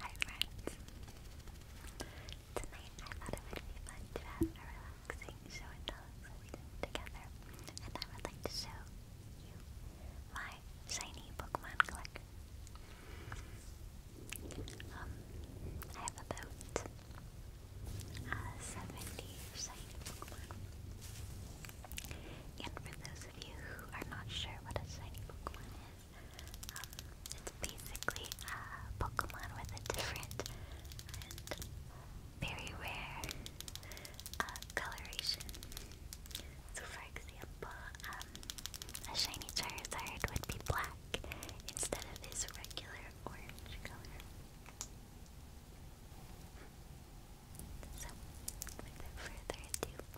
Hi friends! Tonight I thought it would be fun to have a relaxing show and tell together, and I would like to show you my shiny Pokemon collection. Um, I have about uh, 70 shiny Pokemon. And for those of you who are not sure what a shiny Pokemon it's basically a Pokemon with a different and very rare uh, coloration. So, for example, um, a shiny Charizard would be black instead of his regular orange color. So, without further ado,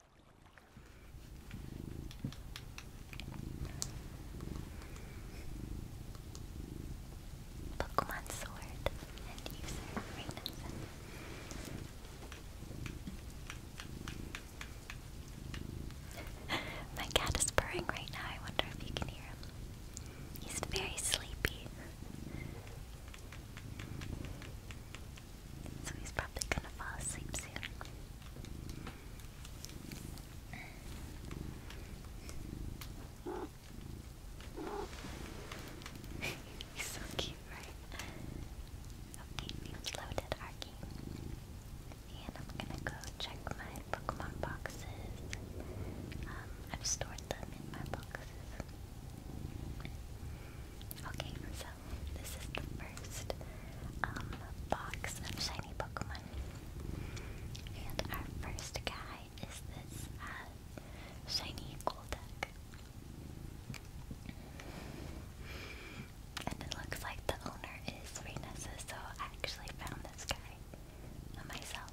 Pokemon Sword and user Rainasen. My cat is purring right now. I wonder if you can hear him. He's very sleepy. So he's probably gonna fall asleep soon. he's so cute, right? Okay, we loaded our And I'm gonna go check my Pokemon boxes. Um, I've stored them in my boxes. Okay, so this is the first um, box of shiny Pokemon. And our first guy is this uh, shiny Golduck. And it looks like the owner is Rhinessa, so I actually found this guy myself.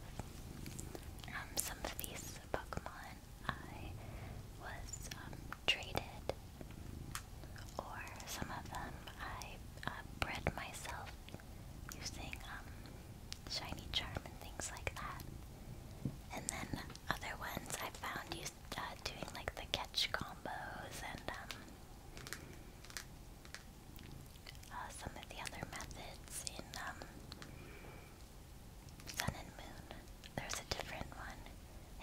Um, some of these Pokemon I was um, treated, or some of them I uh, bred myself using um, shiny charm and things like that. And then other ones I found used uh, like the catch combos and um, uh, some of the other methods in Sun and Moon. There's a different one.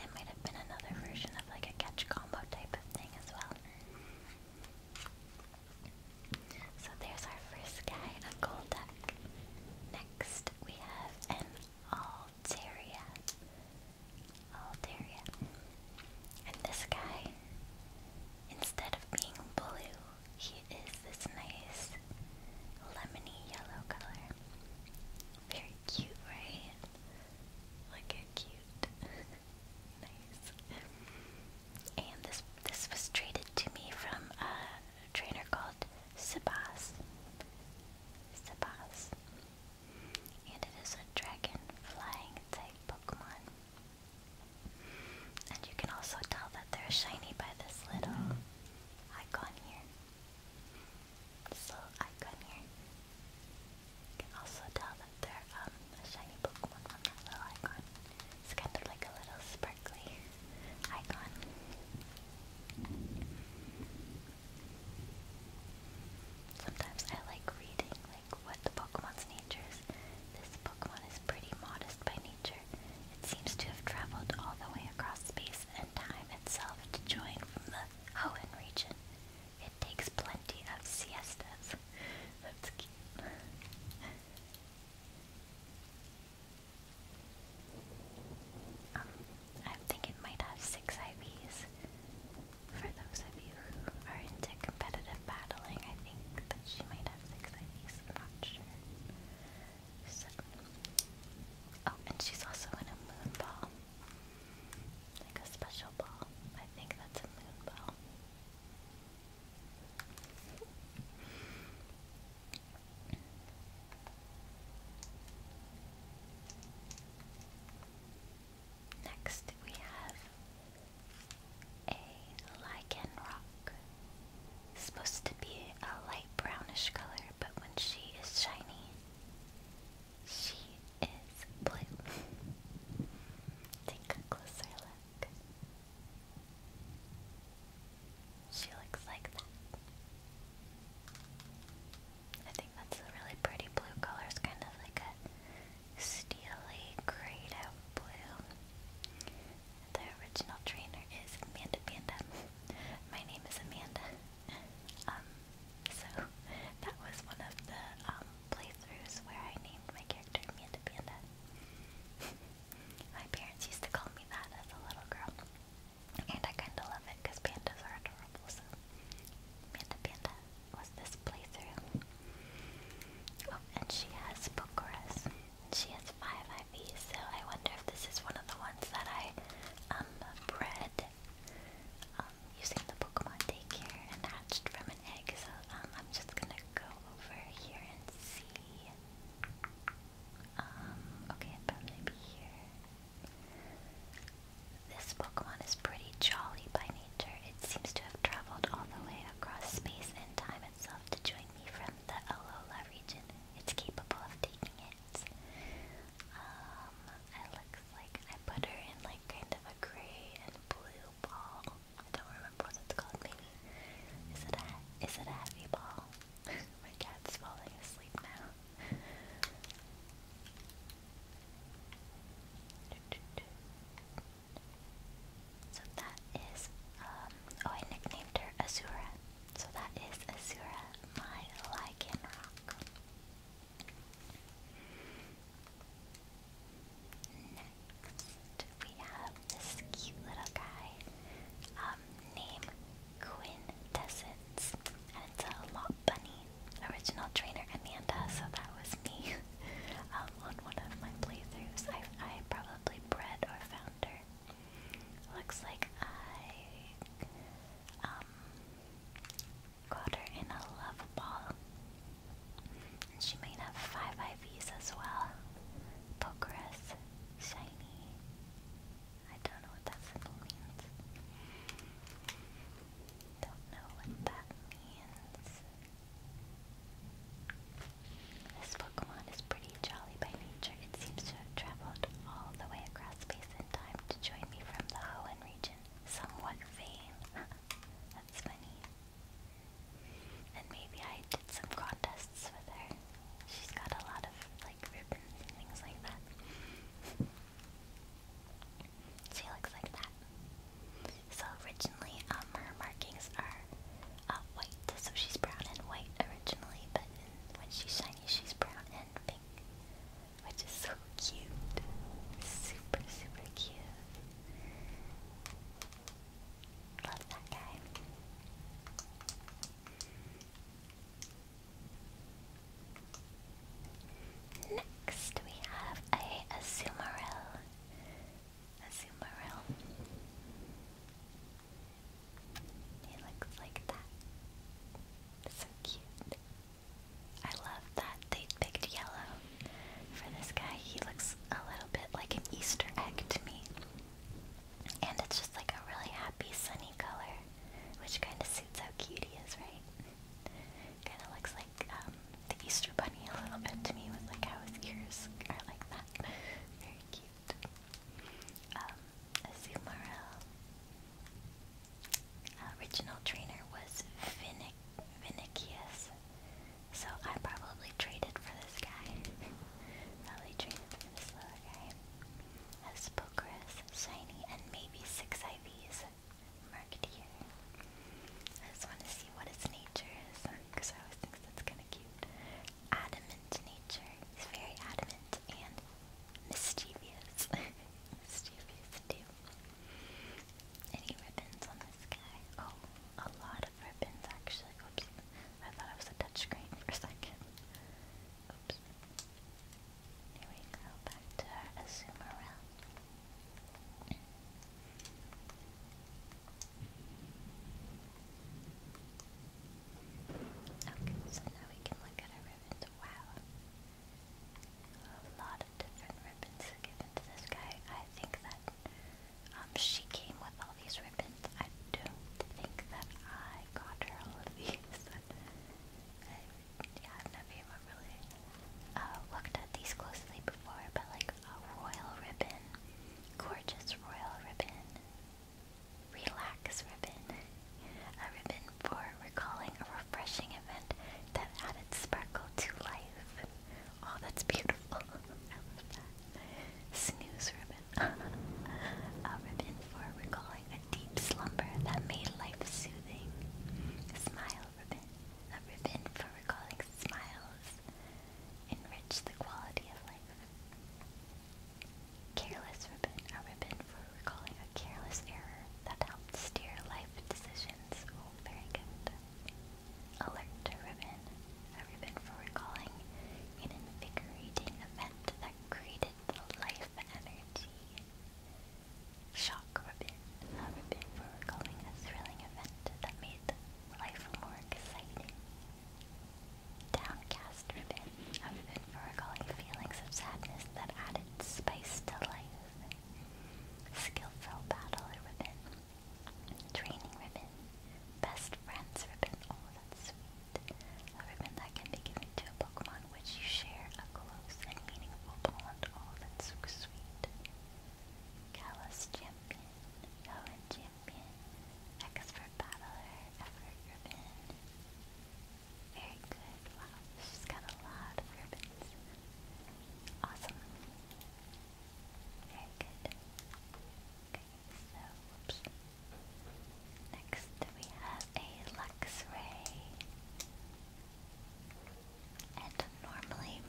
It might have been another version of like a catch combo type of thing as well. So there's our first guy, a deck. Next we have an Altaria. Altaria. And this guy, instead of being blue, he is this nice lemony yellow color. Very cute, right? Look how cute. nice. And this this was traded to me from a trainer called Sabas. Sabas. And it is a dragon flying type Pokemon. And you can also tell that they're shiny by this little icon here this little icon here. can also tell that they're um, a shiny Pokemon from that little icon. It's kind of like a little sparkly icon. Sometimes I like reading like what the Pokemon's nature is. This Pokemon is pretty modest by nature. It seems to have traveled all the way across space and time itself to join from the Hoenn region. It takes plenty of siestas. That's cute. Um, I think it might have six IVs. For those of you who are into competitive battling, I think that she might have six IVs. I'm not sure. Oh, and she's also in a moon like a special ball. I think that's a moon ball. Next, we have a lichen rock. supposed to be a light brownish color, but when she is shiny, she is blue. Take a closer look. She looks like that. I think that's a really pretty blue color. It's kind of like a steely grayed out blue. The original trainer is Amanda My name is Amanda. Um, so that was one of the um, playthroughs where I named my character Mia Panda. my parents used to call me that as a little girl, and I kind of love it because pandas are adorable. So Manda Panda was this playthrough. Oh, and she has Pokeras. She has five IVs, so I wonder if this is one of the ones that I um bred um, using the Pokemon Daycare and hatched from an egg. So um, I'm just gonna go over here and see. Um, okay, it'd probably be here. This Pokemon is pretty jolly by nature. It seems to have traveled all the way across space and time itself to join me from the Alola region. It's capable of taking it um, it looks like I put her in like kind of a gray and blue ball. I don't remember what it's called. Maybe is it a is it a heavy ball? My cat's falling asleep now. So that is, um, oh, I nicknamed her Azura. So that is Azura, my Lycanroc. Next, we have this cute little guy um, named Quintessence. And it's a lot bunny. Original trainer Amanda, so that was me um, on one of my playthroughs. I, I probably bred or found her. Looks like I um, Got her in a love ball. And she might have five IVs as well. Pokerus, shiny. I don't know what that symbol means. Don't know what that means. This Pokemon is pretty jolly by nature. It seems to have traveled all the way across space and time to join me from the Hoenn region, somewhat vain. That's funny. And maybe I did some contests with her. She's got a lot of like ribbons and things like that. she looks like that. So originally, um, her markings are uh, white, so she's brown and white originally, but when she's shiny, she's brown and pink which is so cute. Super, super cute. Love that guy. Next, we have a Azumarill. Azumarill. He looks like that. So cute. I love that they picked yellow for this guy. He looks a little bit like an Easter egg to me. And it's just like a really happy, sunny color, which kind of suits how cute he is, right? Kind of looks like um, the Easter Bunny a little bit to me, with like how his ears are like that. Very cute. Um, original trainer was Vinic Vinicius, so I probably traded for this guy. probably traded for this little guy. Has Pokris, Shiny, and maybe six IVs marked here. I just want to see what its nature is, because I always think that's kind of cute. Adamant nature. He's very adamant and mischievous. mischievous too. Any ribbons on this guy? Oh, a lot of ribbons actually. Oops. I thought it was a touchscreen for a second. Oops. Here we go, back to our Azumarill. Okay, so now we can look at our ribbons. Wow. A lot of different ribbons given to this guy. I think that um, she came with all these ribbons. I don't think that I got her all of these. I, uh, yeah, i never really uh, looked at these closely before, but like a royal ribbon, gorgeous royal ribbon, relax ribbon a ribbon for recalling a refreshing event that added sparkle to life. Oh, that's beautiful. I love Snooze ribbon. a ribbon for recalling a deep slumber that made life soothing. A smile ribbon. A ribbon for recalling smiles. Enrich the quality of life. Careless ribbon. A ribbon for we're a careless error that helped steer life decisions. Oh, very good. Alert ribbon. A ribbon for recalling an invigorating event that created life energy. Shock ribbon. A ribbon for recalling a thrilling event that made life more exciting. Downcast ribbon. A ribbon for recalling feelings of sadness that added spice to life. Skillful Battler ribbon. Training ribbon. Best Friends ribbon. Oh, that's sweet. ribbon that can be given to a Pokemon which you share a close and meaningful bond. Oh, that's sweet. Kalos Champion. Helen Champion. Expert Battler. Effort ribbon. Very good. Wow, she's got a lot of ribbons. Awesome. Very good. so, Next, we have a Luxray. And normally,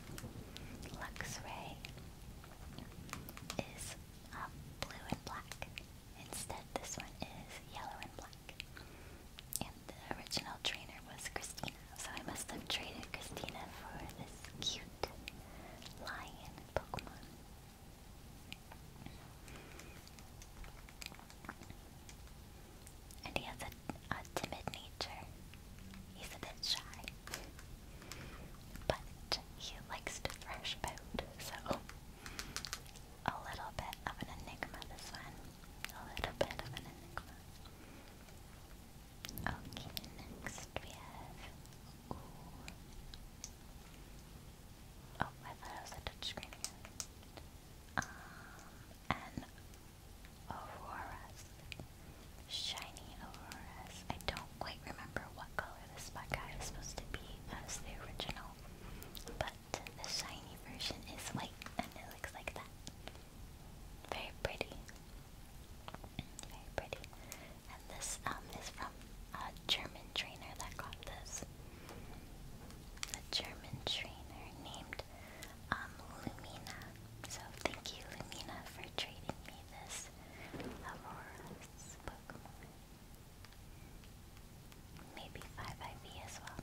Luxray is um, blue and black. Instead, this one is yellow and black. And the original trainer was Christina, so I must have traded Christina for this cute lion Pokemon. And he has a, a timid nature. He's a bit shy. But he likes to thrash about, so a little bit of an enigma, this one. A little bit of an enigma. Okay, next we have... Oh, I thought it was a touchscreen again. Um, and auroras. Shiny auroras. I don't quite remember what color this bug eye is supposed to be as the original, but the shiny version is white and it looks like that. Very pretty. Very pretty. And this um is from a German trainer that got this. A German trainer named um, Lumina. So thank you Lumina for trading me this Aurora's Pokemon. Maybe 5IV as well.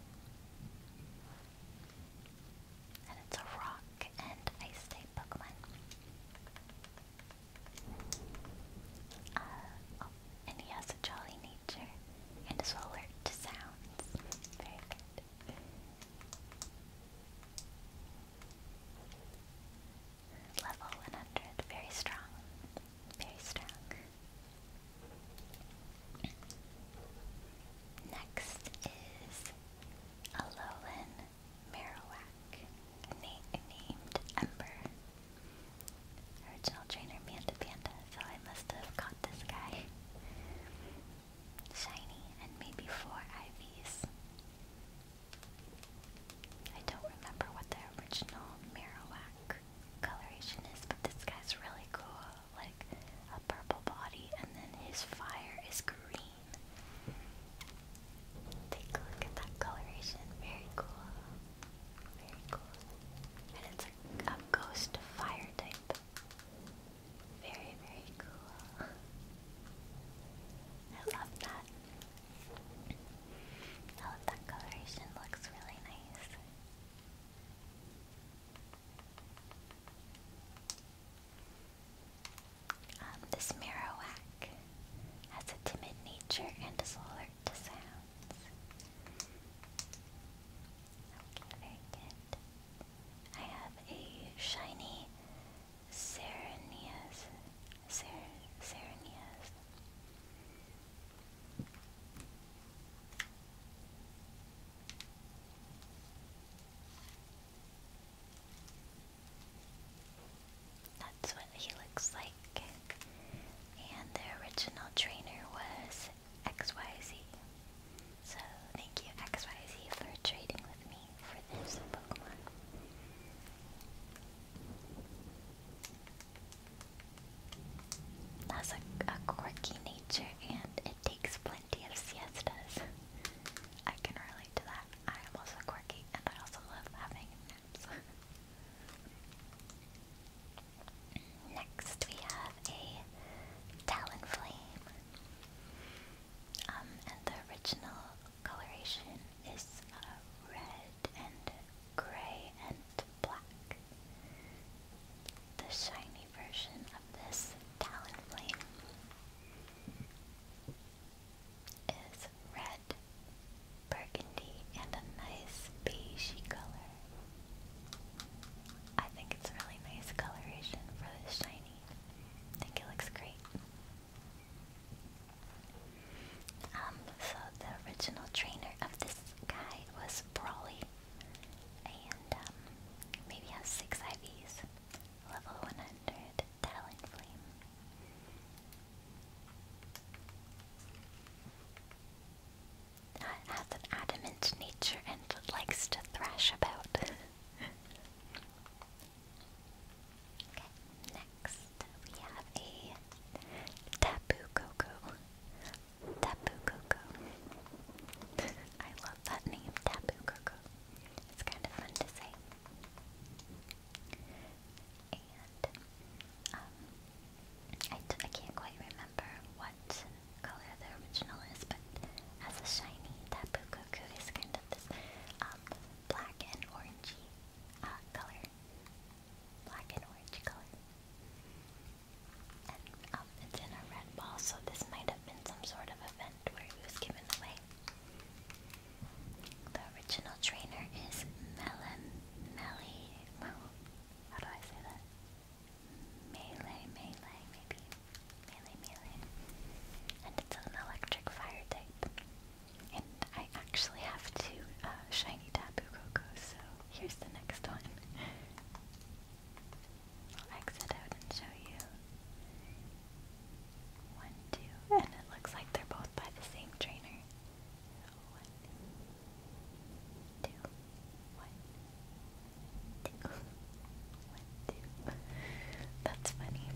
And it's a rock and ice type Pokemon. Uh, oh, and he has a jolly nature and is well alert to sounds. Very good. Level 100, very strong. Very strong. Next is Alolan Marowak, na named Ember. Original trainer Manta Panda, so I must have caught this guy. Shiny and maybe four IVs. I don't remember what the original Marowak coloration is, but this guy's really cool like a purple body, and then his fire is green. Take a look at that coloration. Very cool. Very cool. And it's a, ghost fire type. Very, very cool. I love that. I love that coloration. Looks really nice. Um, this Marowak has a timid nature and is alert to sounds. Okay, very good. I have a shiny Serenias. Ser that's what he looks like. And the original trainer was XYZ. So thank you XYZ for trading with me for this Pokemon. That's a, quirky nature and it plenty of siestas. I can relate to that. I am also quirky and I also love having naps. Next we have a Talonflame. Um, and the original coloration is uh, red and gray and black. The shiny version of this talon flame is red, burgundy, and a nice beigey color. I think it's really nice coloration for this shiny. I think it looks great. Um, so the original trainer of this guy was Brawly, and um, maybe have six IVs. Level 100, Talonflame. That has an adamant nature and likes to thrash about. okay, next we have a Tapu Coco. Tapu Koko. I love that name, Tapu Koko. It's kind of fun to say. And, um, I, d I can't quite remember what color the original is, but as a shiny, Tapu Koko is kind of this um, black and orangey uh, color. Black and orange color. And um, it's in a red ball, so this might have been some sort of event where he was given away. The original trainer is Melon Melly. how do I say that? Melee, melee, maybe. Melee, melee. And it's an electric fire type. And I actually have two uh, shiny Tapu so here's the next one. I'll exit out and show you. One, two, and it looks like they're both by the same trainer. One, two, one, two, one, two. That's funny.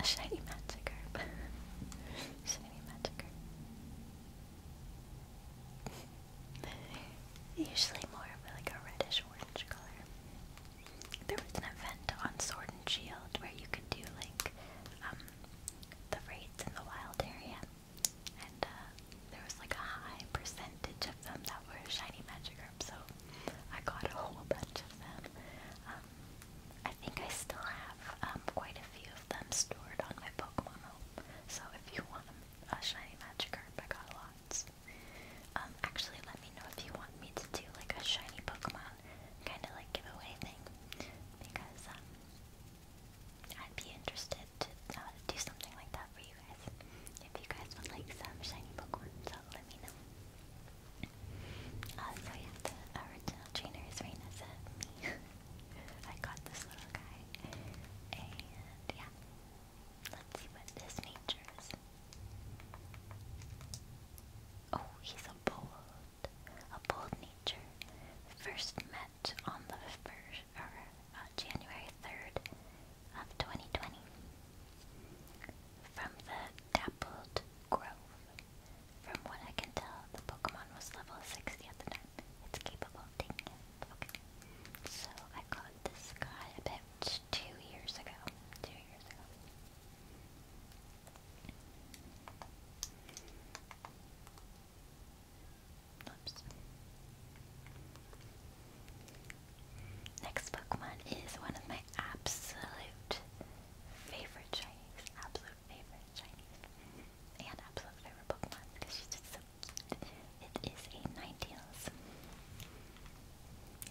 A shiny magic herb. Shiny Magikarp. Usually more of like a reddish orange color. There was an event on Sword and Shield where you could do like um, the raids in the wild area, and uh, there was like a high percentage of them that were shiny Magikarp, so I got a whole bunch of them. Um, I think I still have um, quite a few of them stored on my Pokemon So if you want a uh, shiny Magikarp, I got lots. Um, actually, let me know if you want me to do like a shiny Pokemon kind of like giveaway thing, because um, I'd be interested to uh, do something like that for you guys. If you guys want like some shiny Pokemon, so let me know. Uh, so original trainer is Raina, me, I got this little guy. And yeah. Let's see what his nature is. Oh, he's a bold. A bold nature. First met on the first, or, uh, January 3rd of 2020. From the Dappled Grove. From what I can tell, the Pokemon was level 60 at the time. It's capable of taking it. So I caught this guy about two years ago. Two years ago. Oops. Next Pokemon is one of my absolute favorite shinies. Absolute favorite Chinese and absolute favorite Pokemon because she's just so It is a Ninetales.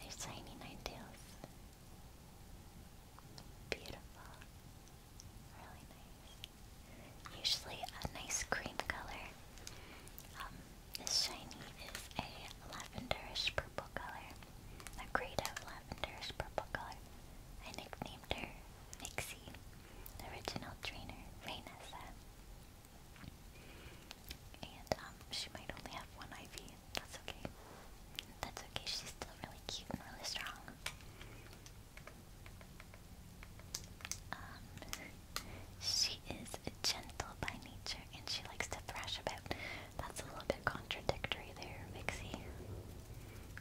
A shiny Ninetales. Beautiful. Really nice. Usually a nice cream color. Um, this shiny is a lavenderish purple color. A grade lavenderish purple color. I nicknamed her Nixie, original trainer, Raynessa. And um, she might only have one IV. That's okay. That's okay. She's still really cute and really strong. Um, she is gentle by nature, and she likes to thrash about. That's a little bit contradictory there, Vixie.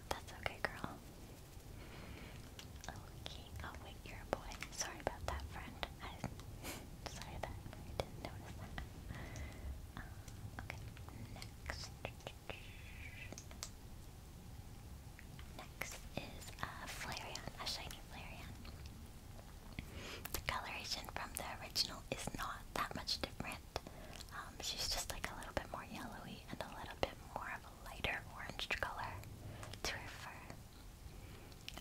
That's okay, girl. Okay. Oh wait, you're a boy. Sorry about that, friend. sorry that I didn't notice that. Uh, okay. Next. Next is a uh, Flareon, a shiny Flareon. The coloration from the original is not that much different. Um, she's just like a little bit more yellowy and a little bit more of a lighter orange color to her fur.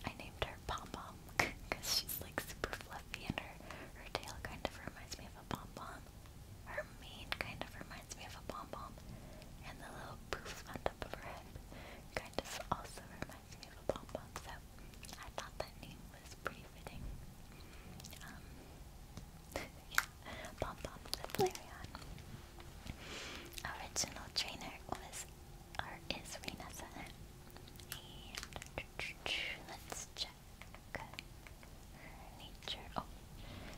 I named her Pom Pom because she's like super fluffy and her, her tail kind of reminds me of a pom pom. Her mane kind of reminds me of a pom pom. And the little poof on top of her head kind of also reminds me of a pom pom. So I thought that name was pretty fitting. Um, yeah. Pom Poms and Flareon. Original trainer was or is let's check her nature. Oh,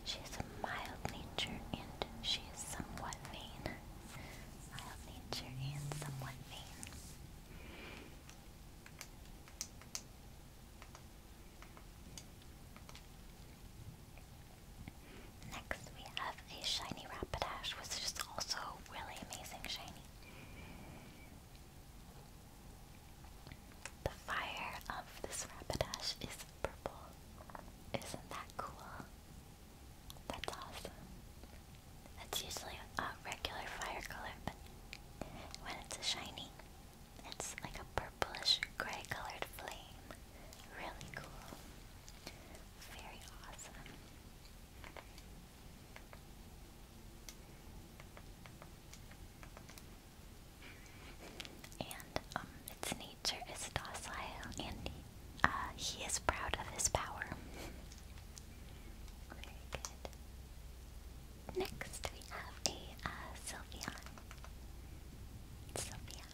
she is a mild nature and she is somewhat vain. Mild nature and somewhat vain. Next, we have a shiny Rapidash, which is also really amazing shiny. The fire of this Rapidash is purple. Isn't that cool? That's awesome. That's usually a regular fire color, but when it's a shiny, it's like a purplish gray colored flame. Really cool. Very awesome. And um, its nature is docile, and uh, he is proud of his power. Very good. Next, we have a uh, Sylveon.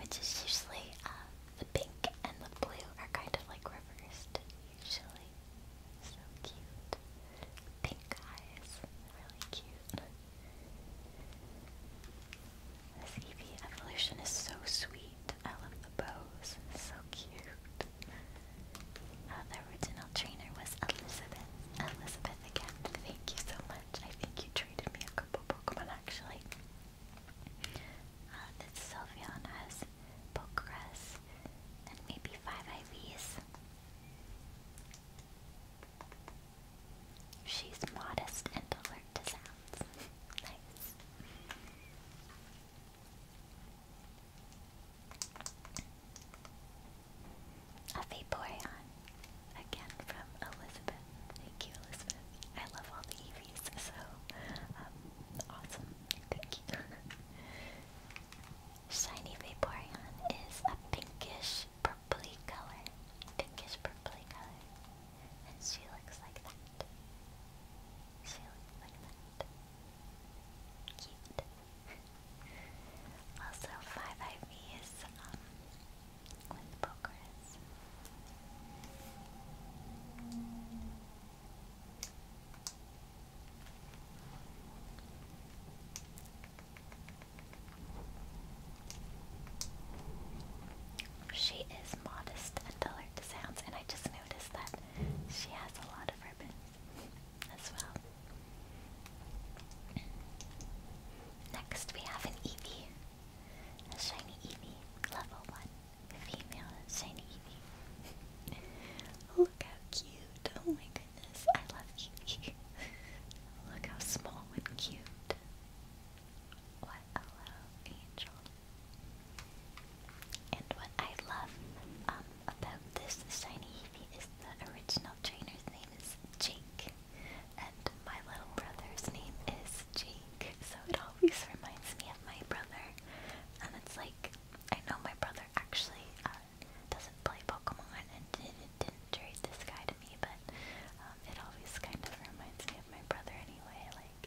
Which is usually, uh, the pink and the blue are kind of like reversed, usually. So cute. Pink eyes, really cute. This evolution is so sweet. I love the bows, so cute. Uh, the original trainer was Elizabeth. Elizabeth again, thank you so much. I think you traded me a couple Pokemon actually. Uh, this Sylveon has Pokegrass and maybe five IVs. She's modest and alert to sounds. nice. A Vaporeon. Again from Elizabeth. Thank you, Elizabeth. I love all the EVs, so um, awesome. Thank you. Shiny Vaporeon is a pinkish purpley color. Pinkish purpley color. And she looks like that. She looks like that. Cute also, 5IVs um, with Pokeris. She is modest and alert to sounds, and I just noticed that she has a lot of ribbon as well. Next, we have an EV, A shiny EV, level 1. Female shiny EV. Look how cute. Oh my goodness. I love you. Look how small and cute. What a little angel. And what I love um, about this shiny Evie is the original trainer's name is Jake, and my little brother's name is Jake, so it always reminds me of my brother. And it's like, I know my brother actually uh, doesn't play Pokemon and didn't, didn't trade this guy to me, but um, it always kind of reminds me of my brother anyway. Like,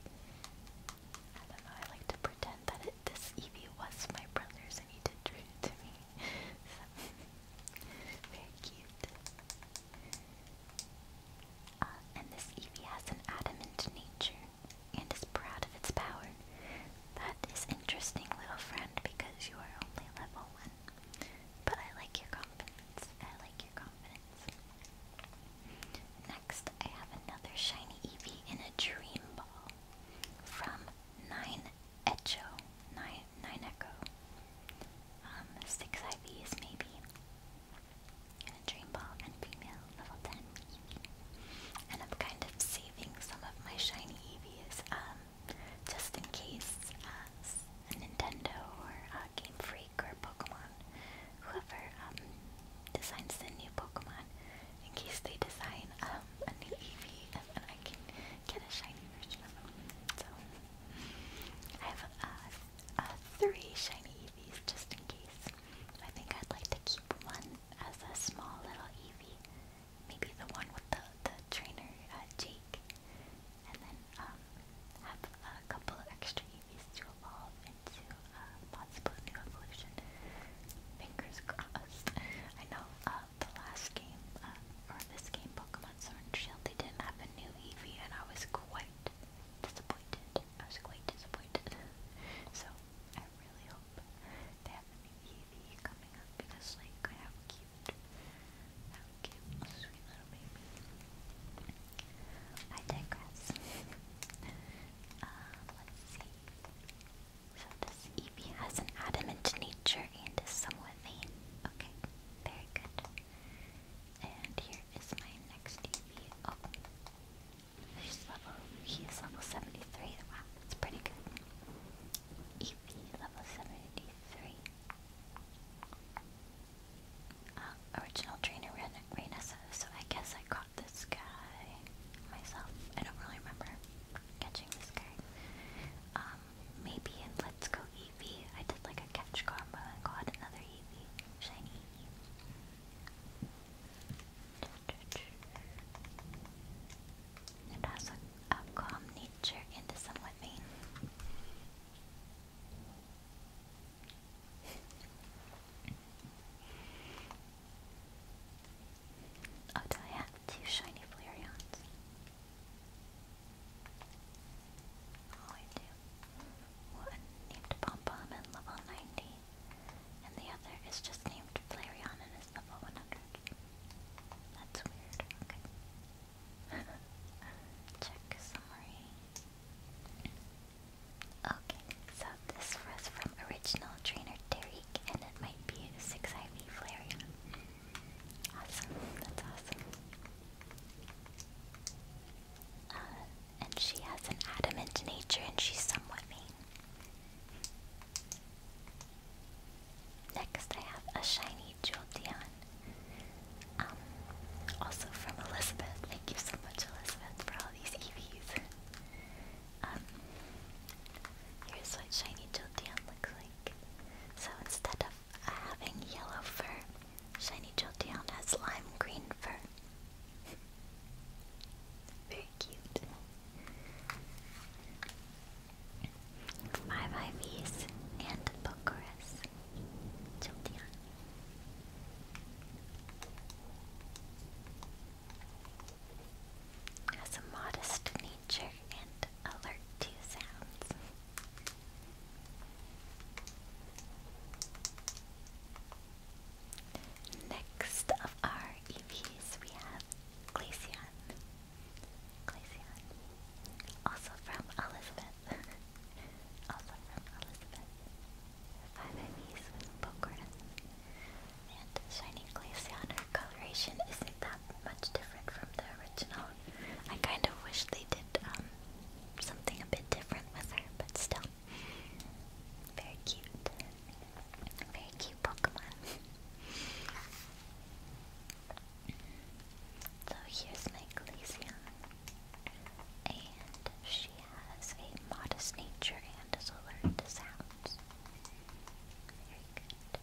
I don't know, I like to pretend that it, this Eevee was my brother's and he did trade it to me. Very cute. Uh, and this Eevee has an adamant nature and is proud of its power. That is interesting, little friend, because you are only level 1. But I like your confidence. I like your confidence. Next, I have another shiny Eevee in a Dream Ball from Nine Echo, nine, nine Echo, um, six IVs maybe, and a Dream Ball, and female, level 10 And I'm kind of saving some of my shiny Eevees, um, just in case a Nintendo or Game Freak or Pokemon, whoever um, designs the new Pokemon, in case they design um, a new Eevee I get a shiny version of them. So I have uh, three shiny Eevees just in case. I think I'd like to keep one as a small little Eevee. Maybe the one with the, the trainer, uh, Jake. And then um, have a couple extra Eevees to evolve into a uh, possible new evolution. Fingers crossed. I know uh, the last game, uh, or this game, Pokemon Sword and Shield, they didn't have a new Eevee, and I was quite disappointed. I was quite disappointed. so, I really hope they have a new Eevee coming up, because, like, how cute. How cute, sweet little baby. I digress. uh, let's see. So this Eevee has an adamant nature and is somewhat Okay, very good. And here is my next EV. Oh, there's level. He is level 73. Wow, that's pretty good. EV level 73. Uh, original trainer Reina says, so I guess I caught this guy myself. I don't really remember catching this guy. Um, maybe in Let's Go EV. I did like a catch combo and got another EV shiny It has a, calm nature and is somewhat vain. oh, do I two shiny Flareons. Oh, I do. One named Pompom and level 90, and the other is just named Flareon and is level 100. That's weird. Okay. Check summary. Okay, so this was from original trainer Derek, and it might be 6 IV Flareon. Awesome, that's awesome. Uh, and she has an adamant nature and she's somewhat mean. Next I have a shiny Jolteon. Um, also from Elizabeth. Thank you so much Elizabeth for all these EVs. Um, here's what shiny Jolteon looks like. So instead of having yellow fur. Shiny Jolteon has lime green fur. Very cute. Five IVs and Pokerus. Jolteon. Has a modest nature and alert to sounds. Next of our EVs, we have Glaceon. Glaceon. Also from Elizabeth. also from Elizabeth. Five EVs with Pokora. And Shiny Glaceon, her coloration isn't that much different from the original I kind of wish they did um, something a bit different with her, but still. Very cute. Very cute Pokemon. so here's my Glaceon. And she has a modest nature and is alert to sounds. Very good.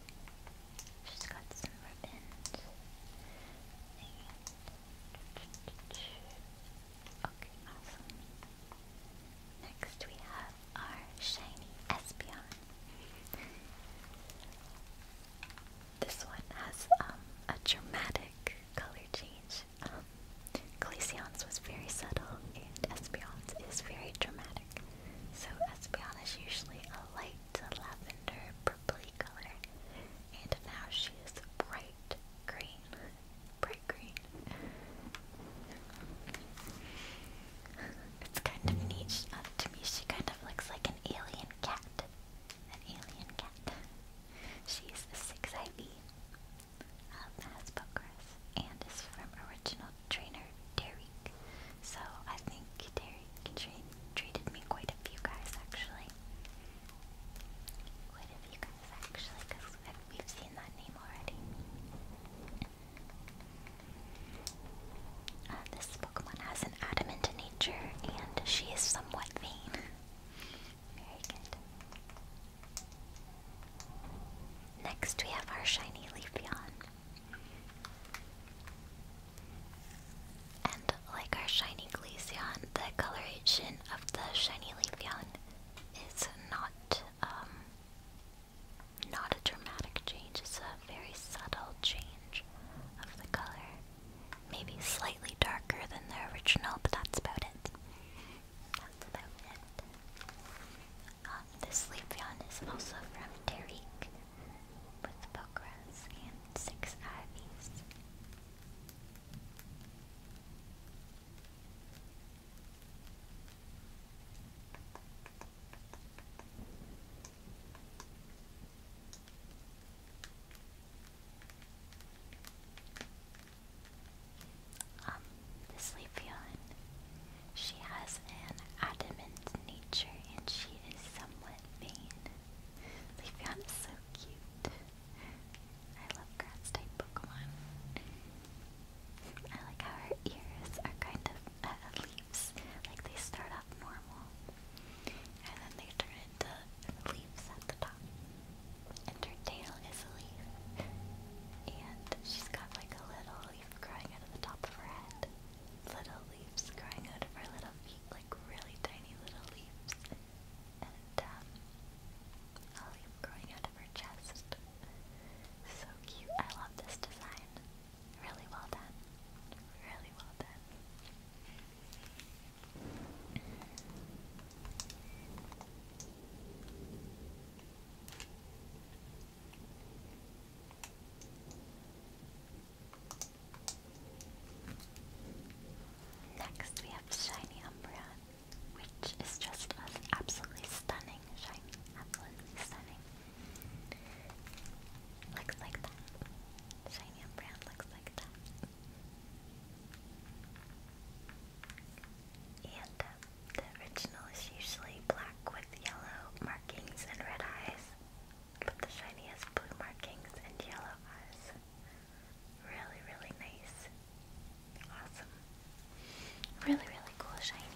Okay, awesome. Next we have our shiny Espeon. this one has um, a dramatic color change. Um, was very subtle and Espeon's is very dramatic. So Espion is usually a light lavender purpley color, and now she is bright green. Bright green. It's kind of neat. Uh, to me, she kind of looks like an alien cat. An alien cat. She's a 6IV of Hasbro and is from original trainer Derek. So I think Derek tra treated me quite a few guys actually. Quite a few guys actually, because we've seen that name already. Uh, this Pokemon has an adamant nature, and she is somewhat vain. Very good. Next, we have our shiny Leafeon. And like our shiny Glaceon, the coloration of the shiny Leafeon is not um, not a dramatic change, it's a very subtle change of the color. Maybe slightly darker than the original, but that's about it. That's about it. Uh, this is also from Tariq with Pokras and six Ivies. Um, this Leafeon, she has an adamant nature and she is somewhat vain. Leafeon is so cute. I love grass type Pokemon. I like how her ears are kind of uh, leaves. Like they start off normal and then they turn into leaves at the top. And her tail is a leaf. And she's got like a little leaf growing out of the top of her head little leaves growing out of her little feet, like really tiny little leaves. And um, growing out of her chest. So cute. I love this design. Really well done. Really well done. Next, we have Shiny Umbreon, which is just absolutely stunning shiny, absolutely stunning. Looks like that. Shiny Umbreon looks like that. And um, the original is usually black with yellow markings and red eyes but the shiny has blue markings and yellow eyes. Really, really nice. Awesome. Really, really cool shiny.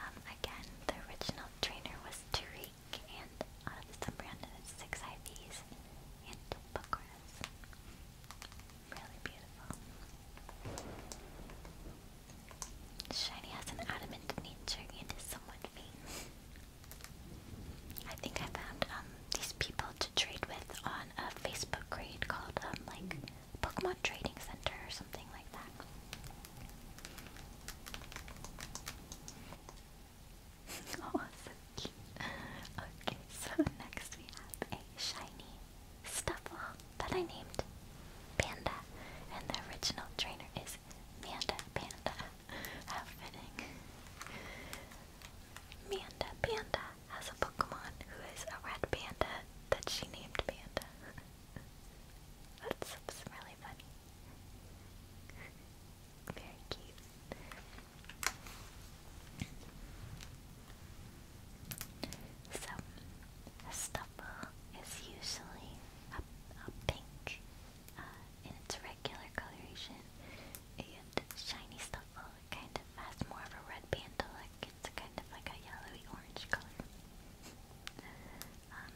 Um, again, the original trainer was Tariq, and out of some random six IVs and Buckras. Really beautiful. Shiny has an adamant nature and is somewhat mean. I think I found um, these people to trade with on a Facebook group called um, like Pokemon Trading Center or something like that. oh, so cute. Okay, so next we have a shiny Stuffle that I named Panda, and the original trainer is Manda Panda outfitting. Manda Panda has a Pokemon who is a red panda that she named Panda. That's, really funny. Very cute. So, a stuffle is usually a pink and uh, it's a regular coloration and shiny stuff kind of has more of a red band look. It's kind of like a yellowy orange color. Um,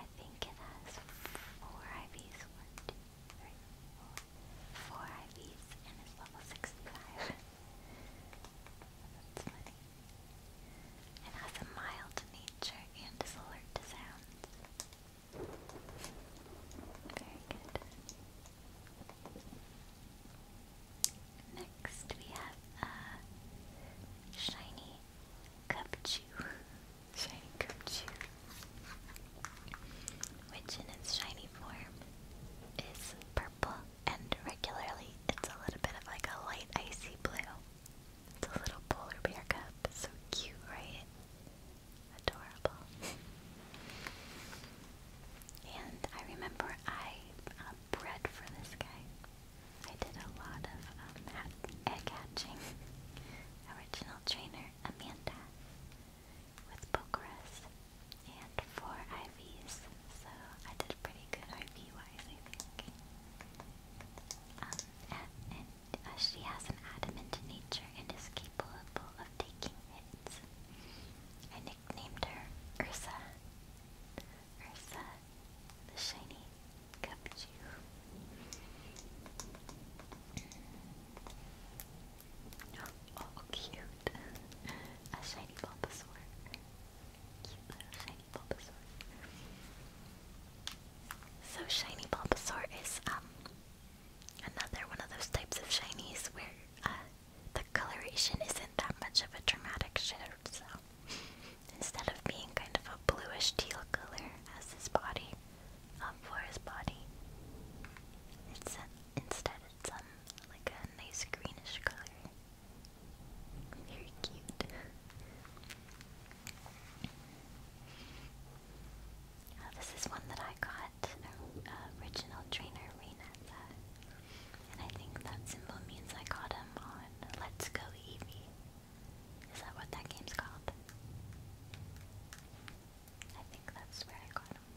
I think it has four IVs. One, two, three, four. Four IVs and it's level 65. That's funny and has a mild nature and is alert to sounds. Very good. Next we have a shiny Cupchew. shiny Cupchew. Which in its shiny form is purple and regularly it's a little bit of like a light icy blue. It's a little polar bear cup. It's So cute, right? Adorable. and I remember I um, bred for this guy. I did a lot of um, egg hatching. Original trainer Amanda with Pokeras and four IVs. So I did pretty good IV wise, I think. Um, uh, she has an adamant nature and is capable of taking hits. I nicknamed her Ursa. Ursa, the shiny Kabuchu. Mm. Oh, oh, cute. A shiny Bulbasaur. Cute little shiny Bulbasaur. So shiny Bulbasaur is um, another one of those types of shinies where uh, the coloration isn't that much of a dramatic shift. So instead of being kind of a bluish teal color as his body, um, for his body, it's instead it's um like a nice greenish color. Very cute. Oh, this is one that I got, uh, original trainer Renata. And I think that symbol means I got him on Let's Go Eevee. Is that what that game's called? I think that's where I got him.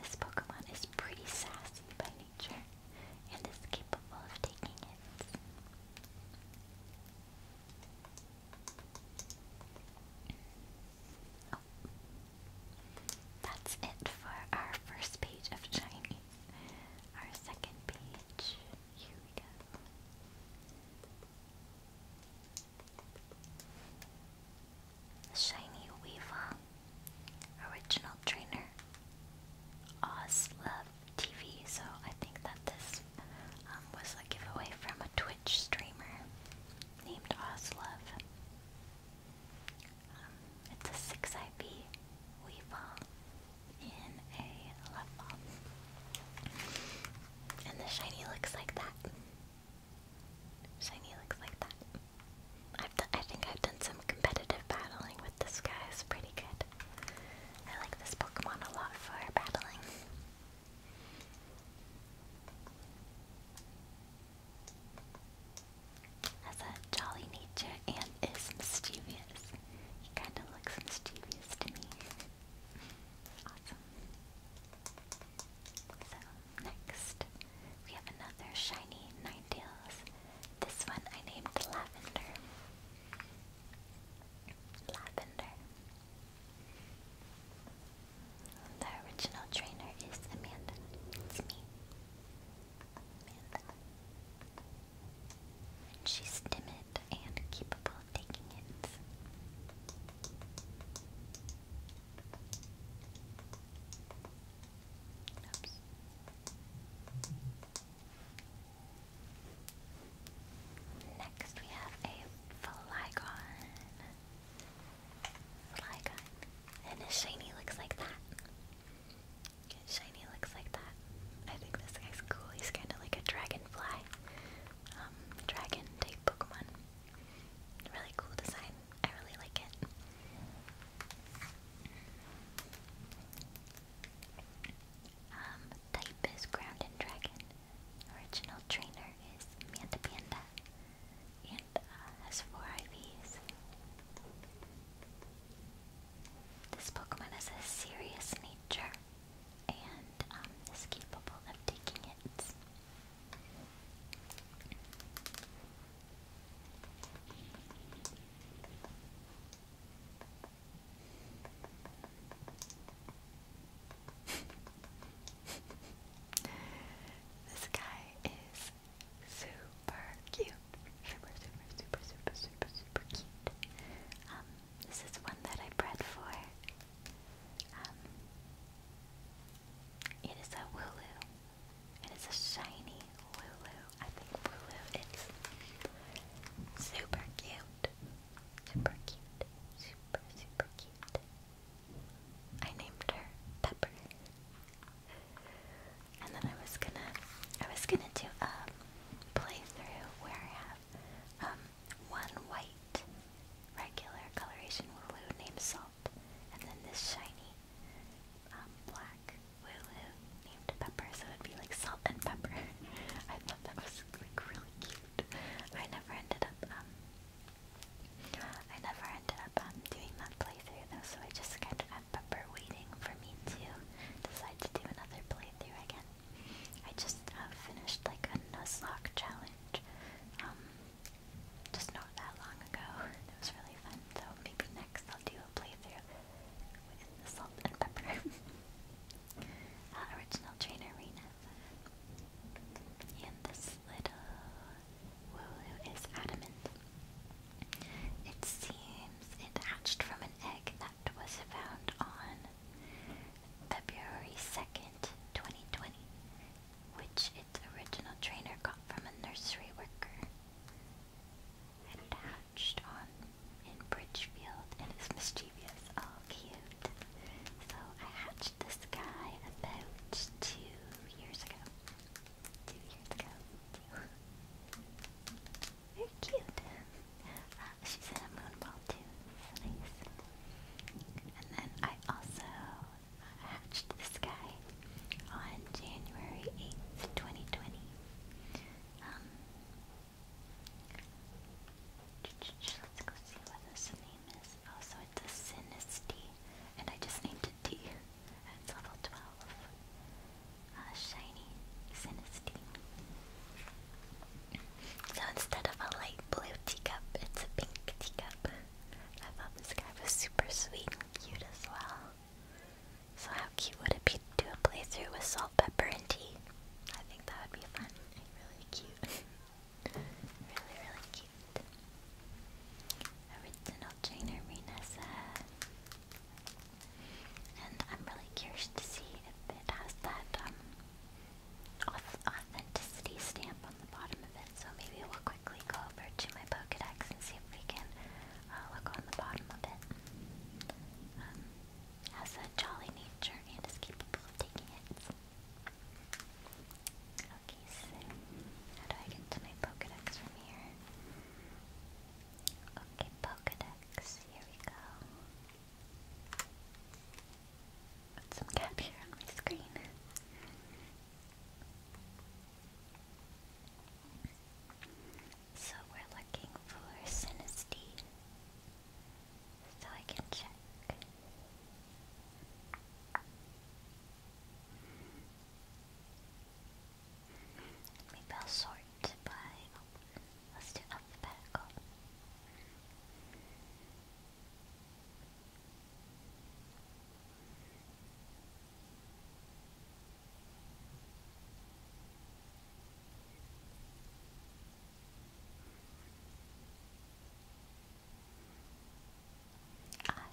This Pokemon is pretty sassy by nature and is capable of taking it. Oh. That's it for our first page of Shiny. Our second page, here we go. The Shiny Weevil, Original Trainer, Oz Love TV, so I think that this um, was a giveaway from a Twitch streamer named Oslov. Um, it's a 6 IV Weevil in a love ball. And the shiny looks like that. Shiny looks like that. I've I think I've done some competitive battling with this guy. It's pretty good. I like this Pokemon a lot for battling. Has a jolly nature and is mischievous. He kind of looks mischievous to me. awesome. So, next, we have another shiny Ninetales. This one I named Lavender. Lavender. The original trainer is Amanda. It's me. Amanda. And she's timid and capable of taking it. Next we have a Flygon. Flygon. And his shiny looks like that. shiny looks like that. I think this guy's cool. He's kind of like a dragonfly. Um, dragon type Pokemon. Really cool design. I really like it. Um, type is ground and dragon. Original trainer is Manta Panda. And uh, has four IVs. This Pokemon has a serious nature and um, is capable of taking it. this guy is super cute. Super, super, super, super, super, super cute. Um, this is one that I bred for. Um, it is a Wooloo. It is a shiny Wooloo. I think Bulu is super cute. Super cute. Super, super cute. I named her Pepper. And then I was gonna I was gonna do a um, playthrough where I have um one white regular coloration blue named Salt and then this shiny um black Lulu named Pepper, so it'd be like Salt and Pepper. I thought that was like really cute. I never ended up um I never ended up um doing that playthrough though, so I just kind of had Pepper waiting for me to decide to do another playthrough again. I just uh, finished like a Nuzlocke challenge. Um just not that long ago. It was really fun. So maybe next I'll do a playthrough original trainer Rena. this little Wooloo is adamant. It seems it hatched from an egg that was found on February 2nd, 2020, which its original trainer got from a nursery worker touched on in Bridgefield and is mischievous. Oh, cute. So I hatched this guy about two years ago. Two years ago. Very cute. Uh, she's in a moonball too. nice. And then I also hatched this guy on January 8th, 2020. Let's go see what this name is. Oh, so it's a Sinisty, and I just named it D. It's level 12. A uh, shiny Sinisty. So instead of a light blue teacup, it's a pink teacup. I thought this guy was super sweet and cute as well. So how cute would it be to do a playthrough with salt, pepper, and tea? I think that would be fun and really cute. really, really cute. Original trainer Renessa. And I'm really curious to see if it has that um, authenticity stamp on the bottom of it. So maybe we'll quickly go over to my Pokedex and see if we can uh, look on the bottom of it. Um, has a jolly nature and is capable of taking it. Okay, so how do I get to my Pokedex from here? Okay, Pokedex, here we go. Put some cap on my screen. So we're looking for synesthete. So I can check. Maybe will sort by. let's do alphabetical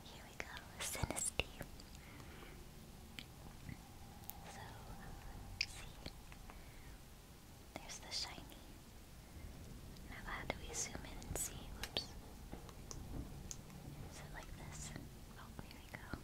here we go, Synesty. So, see. There's the shiny. Now how do we zoom in and see? Whoops. Is it like this? Oh, here we go.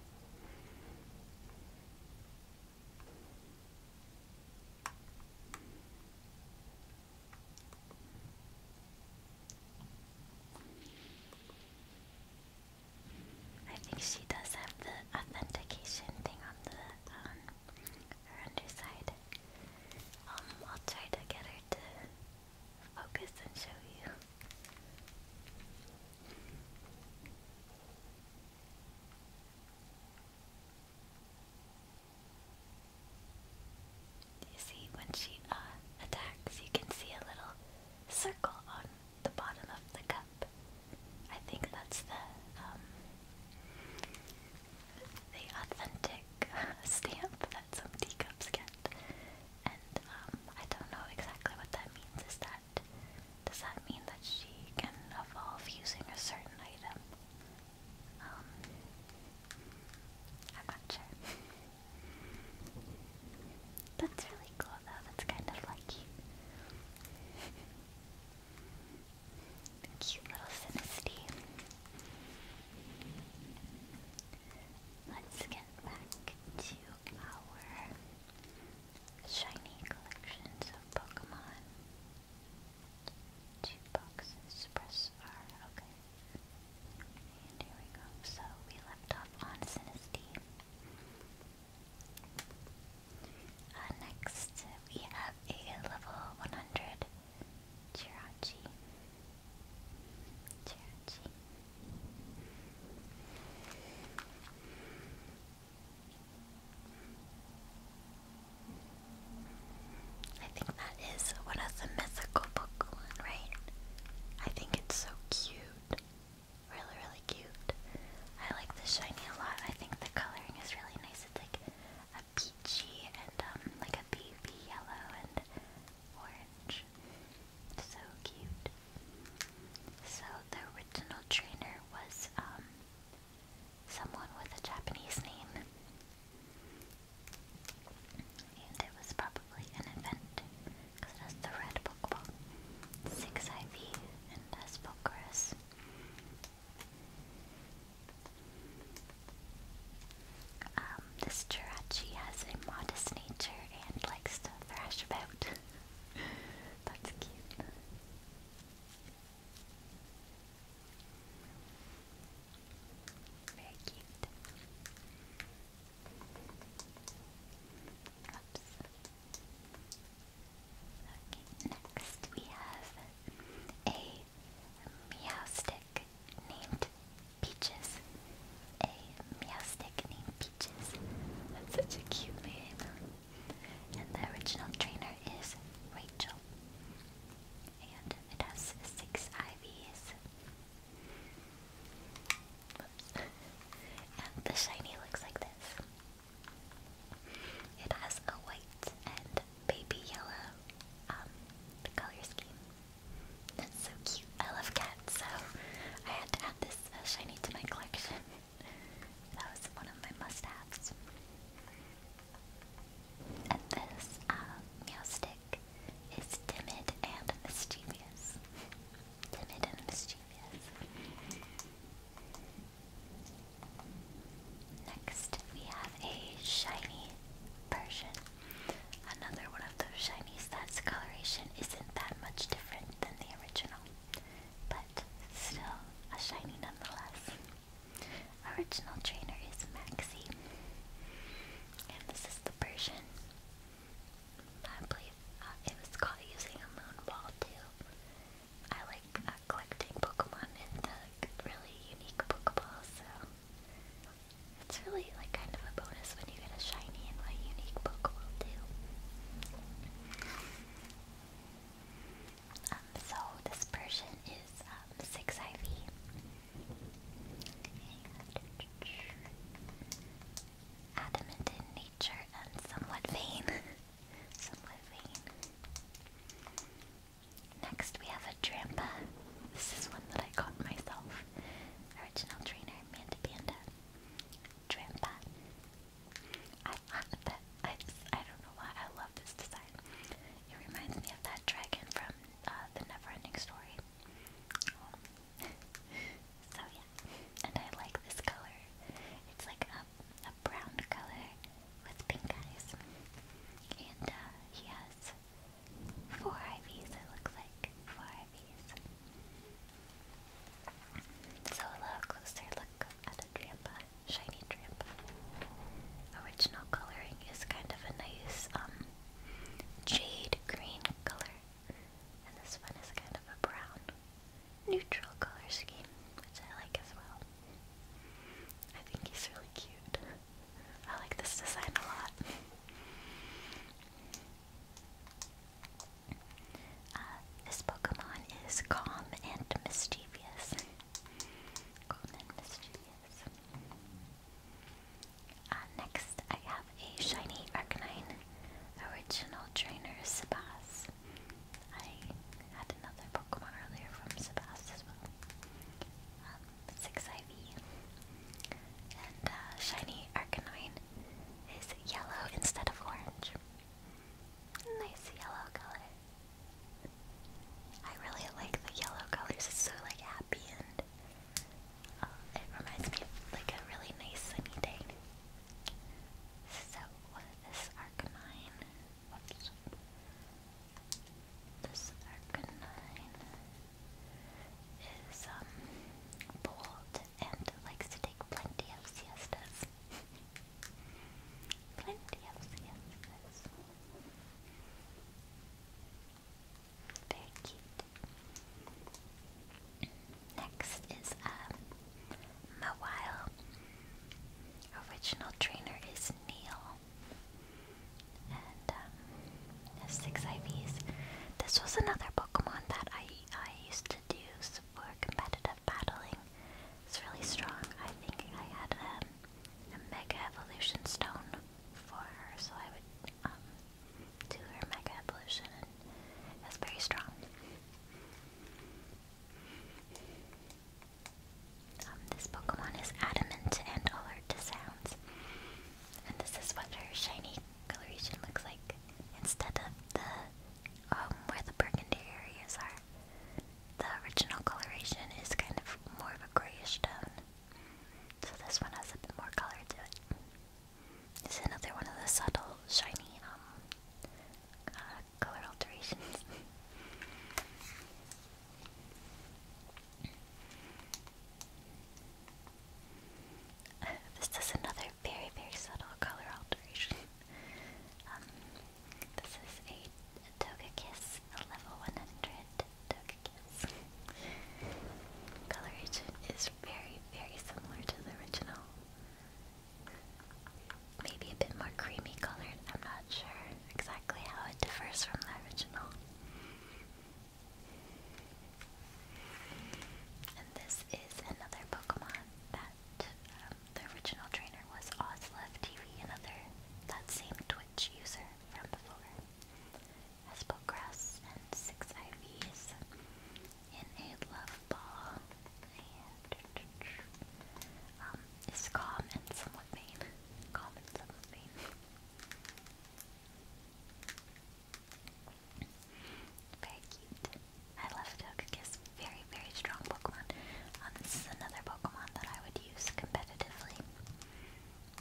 I think she does have the authentication thing on the um, her underside. Um, I'll try to get her to focus and show you. You see, when she uh, attacks, you can see a little circle on the bottom of the cup. I think that's the um, the authentic stamp that some teacups get, and um, I don't know exactly what that means. Is that does that mean that she can evolve using a certain item? Um, I'm not sure. That's really cool though, that's kind of lucky. Cute little synesty. Let's get back to our shiny collections of Pokemon. Two boxes, press R, okay. And here we go. So we left off on Sinisty. Uh, next, we have a level 100 Jirachi. Jirachi. I think that is one of the mythical Pokemon, right? I think it's so cute. Really, really cute. I like the shiny a lot. I think the coloring is really nice. It's like a peachy and um like a baby yellow and orange. So cute. So the original trainer was um someone with a Japanese name. And it was probably an event, because it has the red Pokeball, 6 IV, and has Pokerus. Um, this Jirachi has a modest nature and likes to thrash about. That's cute next we have a meow named Peaches. A meow named Peaches. That's such a cute name and the original trainer is Rachel. And it has six IVs. and the shiny looks like this. It has a white and baby yellow um, color scheme. That's so cute. I love cats, so I had to add this uh, shiny to my collection. That was one of my must-haves. And this uh, um, Meowstic is timid and mischievous. timid and mischievous. Next, we have a shiny Persian. Another one of those shinies that's coloration isn't that much different than the original but still a shiny nonetheless. Original trainer is Maxie, and this is the Persian. I believe uh, it was caught using a moon ball too. I like uh, collecting Pokemon in the really unique Pokeball, so it's really like kind of a bonus when you get a shiny and a unique Pokeball too. Um, so this Persian is um, 6 IV. Adamant in nature and somewhat vain. somewhat vain. Next we have a Drampa. This is one that I got myself. Original trainer, Manda Panda. Drampa. I, I, that, I, I don't know why I love this design. It reminds me of that dragon from uh, the Neverending Story. so yeah, and I like this color. It's like a a brown color with pink eyes, and uh, he has four IVs. It looks like four IVs. So a little closer look at Adriamba shiny drip. Original coloring is kind of a nice um jade green color, and this one is kind of a brown neutral color scheme, which I like as well. I think he's really cute. I like this design a lot. Uh, this Pokemon is calm and mischievous. Uh, next, I have a shiny Arcanine original trainer, Sabas. I had another Pokemon earlier from Sabas as well. Um, 6 IV. And uh, shiny Arcanine is yellow instead of orange. Nice yellow color. I really like the yellow colors. It's so like happy and uh, it reminds me of like a really nice sunny day. So this is Arcanine. Whoops. This Arcanine is um bold and likes to take plenty of siestas. Plenty of CSS. Very cute. Next is um, Mawile. Original trainer is Neil. And um, six IVs. This was another Pokemon that I I used to do for competitive battling. It's really strong. I think I had um, a Mega Evolution Stone for her, so I would um, do her Mega Evolution, and it's very strong. Um, this Pokemon is adamant and alert to sounds, and this is what her shiny coloration looks like instead of the where the burgundy areas are the original coloration is kind of more of a grayish tone. So this one has a bit more color to it. It's another one of the subtle, shiny, um, uh, color alterations. this is another very, very subtle color alteration. Um, this is a, a Togekiss, a level 100 Togekiss. Coloration is very, very similar to the original. Maybe a bit more creamy colored, I'm not sure exactly how it differs from the original. And this is another Pokemon that that um, the original trainer was OzLevTV, another that same Twitch user from before. Has Grass and six IVs in a love ball, um, is calm somewhat vain. Calm somewhat vain. Very cute. I love Togekiss very, very strong Pokemon. Um, this is another Pokemon that I would use competitively.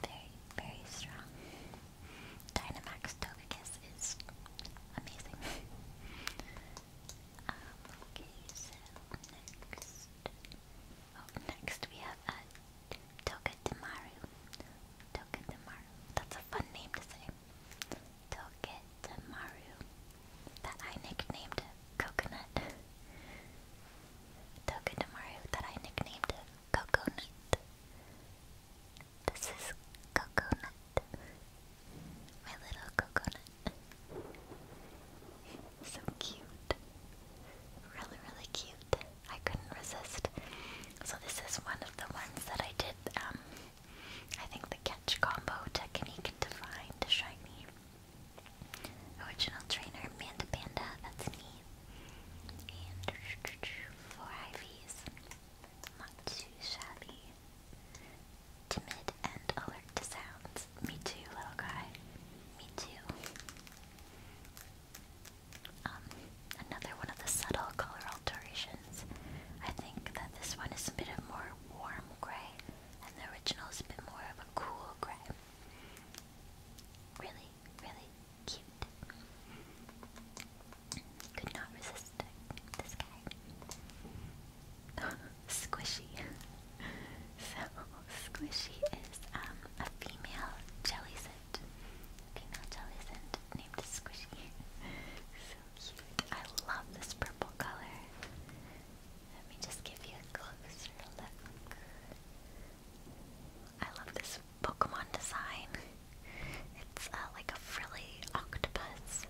Very, very strong. Dynamax Togekiss is amazing. Um, okay, so next. Oh, next we have uh, Togedemaru. Togedemaru. That's a fun name to say. Togedemaru. That I nicknamed Coconut. Tokidamaru that I nicknamed Coconut. This is Coconut. My little coconut. so cute. Really, really cute. I couldn't resist. So this is one of the ones that I did, um, I think the catch combo technique to find a shiny. Original trainer, Manda Panda, that's me. four IVs. Not too shabby. Timid and alert to sounds. Me too, little guy. Me too. Um, another one of the subtle color alterations. I think that this one is a bit of more warm gray, and the original is a bit more of a cool gray. Really, really cute. Could not resist this guy. squishy. so squishy is um, a female jellycent. Female jellycent named Squishy. so cute. I love this purple color. Let me just give you a closer look. I love this Pokemon design. It's uh, like a frilly octopus,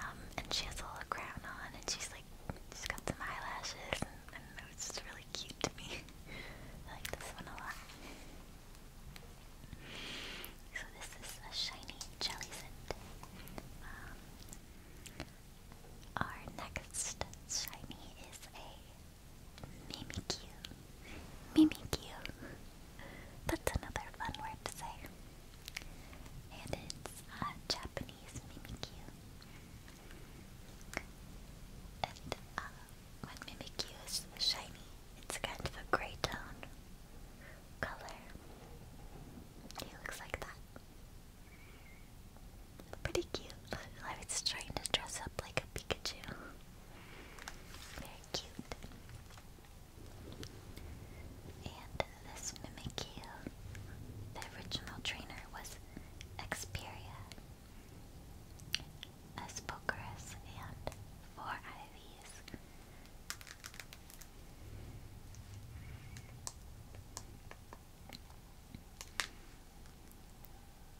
um, and she has a little crown on, and she's like, she's got some eyelashes, and it's just really cute to me. I like this one a lot. So this is a shiny jelly our next shiny is a Mimikyu. Mimikyu. That's another fun word to say. And it's a uh, Japanese Mimikyu. And uh, when Mimikyu is shiny, it's kind of a gray tone color. He looks like that. Pretty cute. I was trying to dress up like a Pikachu. Very cute. And this Mimikyu, the original trainer was Xperia, Aspocorus, and four IVs.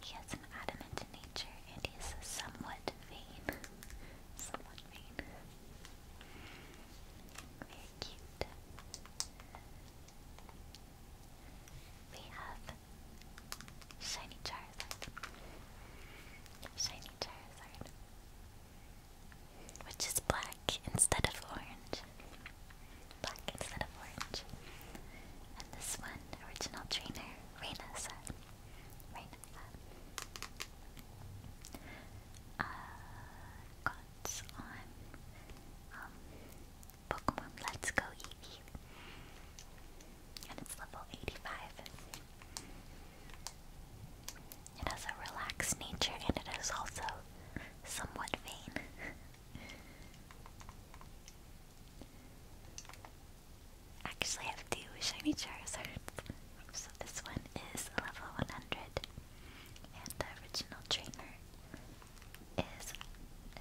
He has an adamant nature and is somewhat vain. somewhat vain. Very cute. We have Shiny Charizard. Shiny Charizard. Which is black instead of orange. Black instead of orange. And this one, original trainer, Reina said. Reina said. Uh, on um, Pokemon Let's Go Eevee. And it's level 85. It has a relaxed nature and it is also somewhat vain. Actually, I have two shiny Charizards. So this one is level 100, and the original trainer is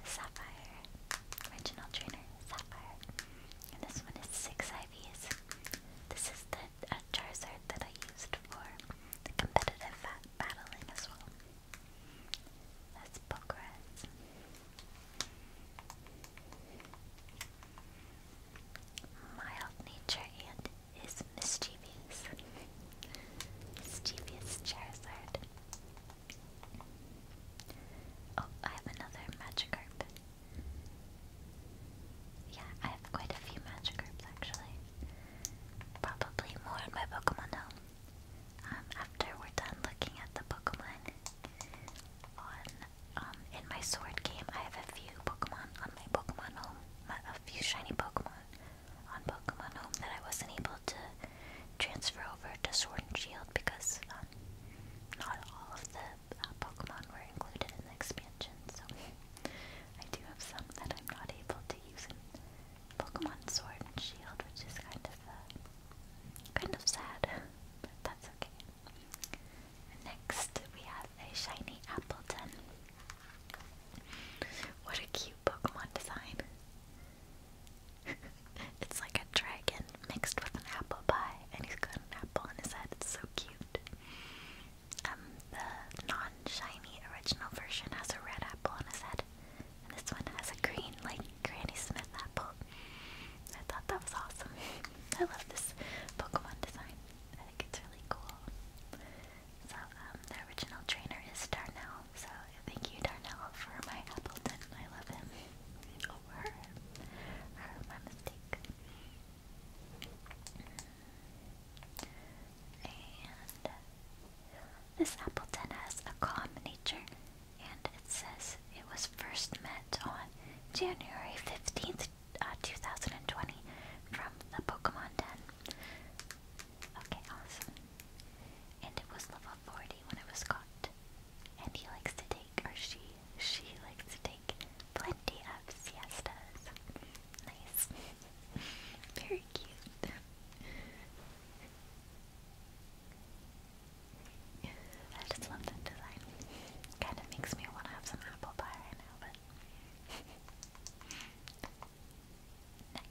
Sapphire. Original trainer Sapphire, and this one is six IVs. This is the uh, Charizard that I used for the competitive battling as well. That's progress. Mild nature and is mischievous. mischievous Charizard. Oh, I have another Magikarp. Yeah, I have quite a few Magikarps actually. Probably more in my Pokemon um, after we're done looking at the Pokemon on um, in my sword game, I have a few Pokemon on my Pokemon home, a few shiny Pokemon on Pokemon home that I wasn't able to transfer over to Sword and Shield because um, not all of the uh, Pokemon were included in the expansion. So I do have some that I'm not able to use Pokemon Sword and Shield, which is kind of uh, kind of sad, but that's okay. Next, we have a shiny Appleton. What a cute Pokemon design! it's like a dragon mixed with an apple pie, and he's got an apple on his head. It's so cute. Um, the non-shiny original version has a red apple on his head, this one has a green, like Granny Smith apple. I thought that was awesome. I love this Pokemon design. I think it's really cool. So, um, the original trainer is Darnell. So, thank you, Darnell, for my Appleton. I love him. Oh, her. Her, mistake. And. This Appleton has a calm nature, and it says it was first met on January 15th, uh, 2020, from the Pokemon Ten. Okay, awesome. And it was level 40 when it was caught. And he likes to take, or she, she likes to take plenty of siestas. Nice. Very cute. I just love that design. Kind of makes me want to have some apple pie right now, but.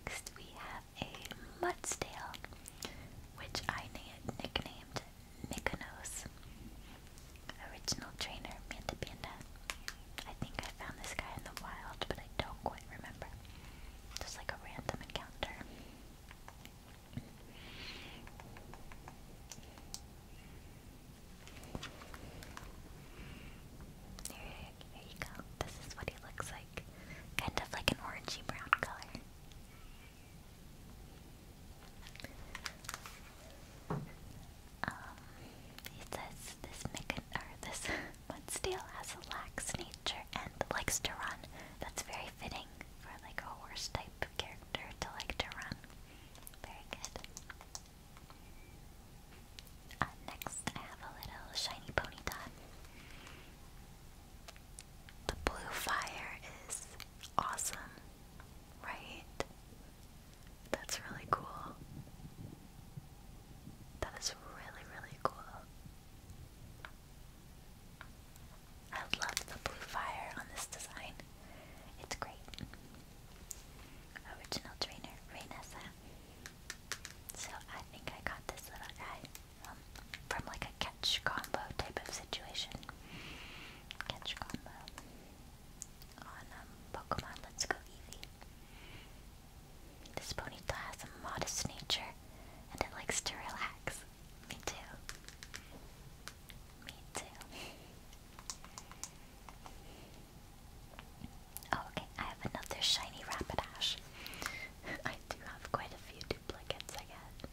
Next, we have a Mudsdale, which I nicknamed Mykonos. Original trainer, Manta Panda. I think I found this guy in the wild, but I don't quite remember. Just like a random encounter. Here, you go. This is what he looks like. Kind of like an orangey brown color. Um, he says this mechan- or this But Mudsdale has a lax nature and likes to run. That's very fitting for like a horse type character to like to run. Very good. Uh, next, I have a little shiny Ponyta. The blue fire is awesome, right? That's really cool. That is really, really cool. I love the blue fire on this design. It's great. Original trainer, Raynessa. So I think I got this little guy um, from like a catch combo type of situation. Catch combo on um, Pokemon Let's Go Eevee. This ponytail has a modest nature and it likes to relax. Me too. Me too. oh, okay, I have another shiny Rapidash. I do have quite a few duplicates I get.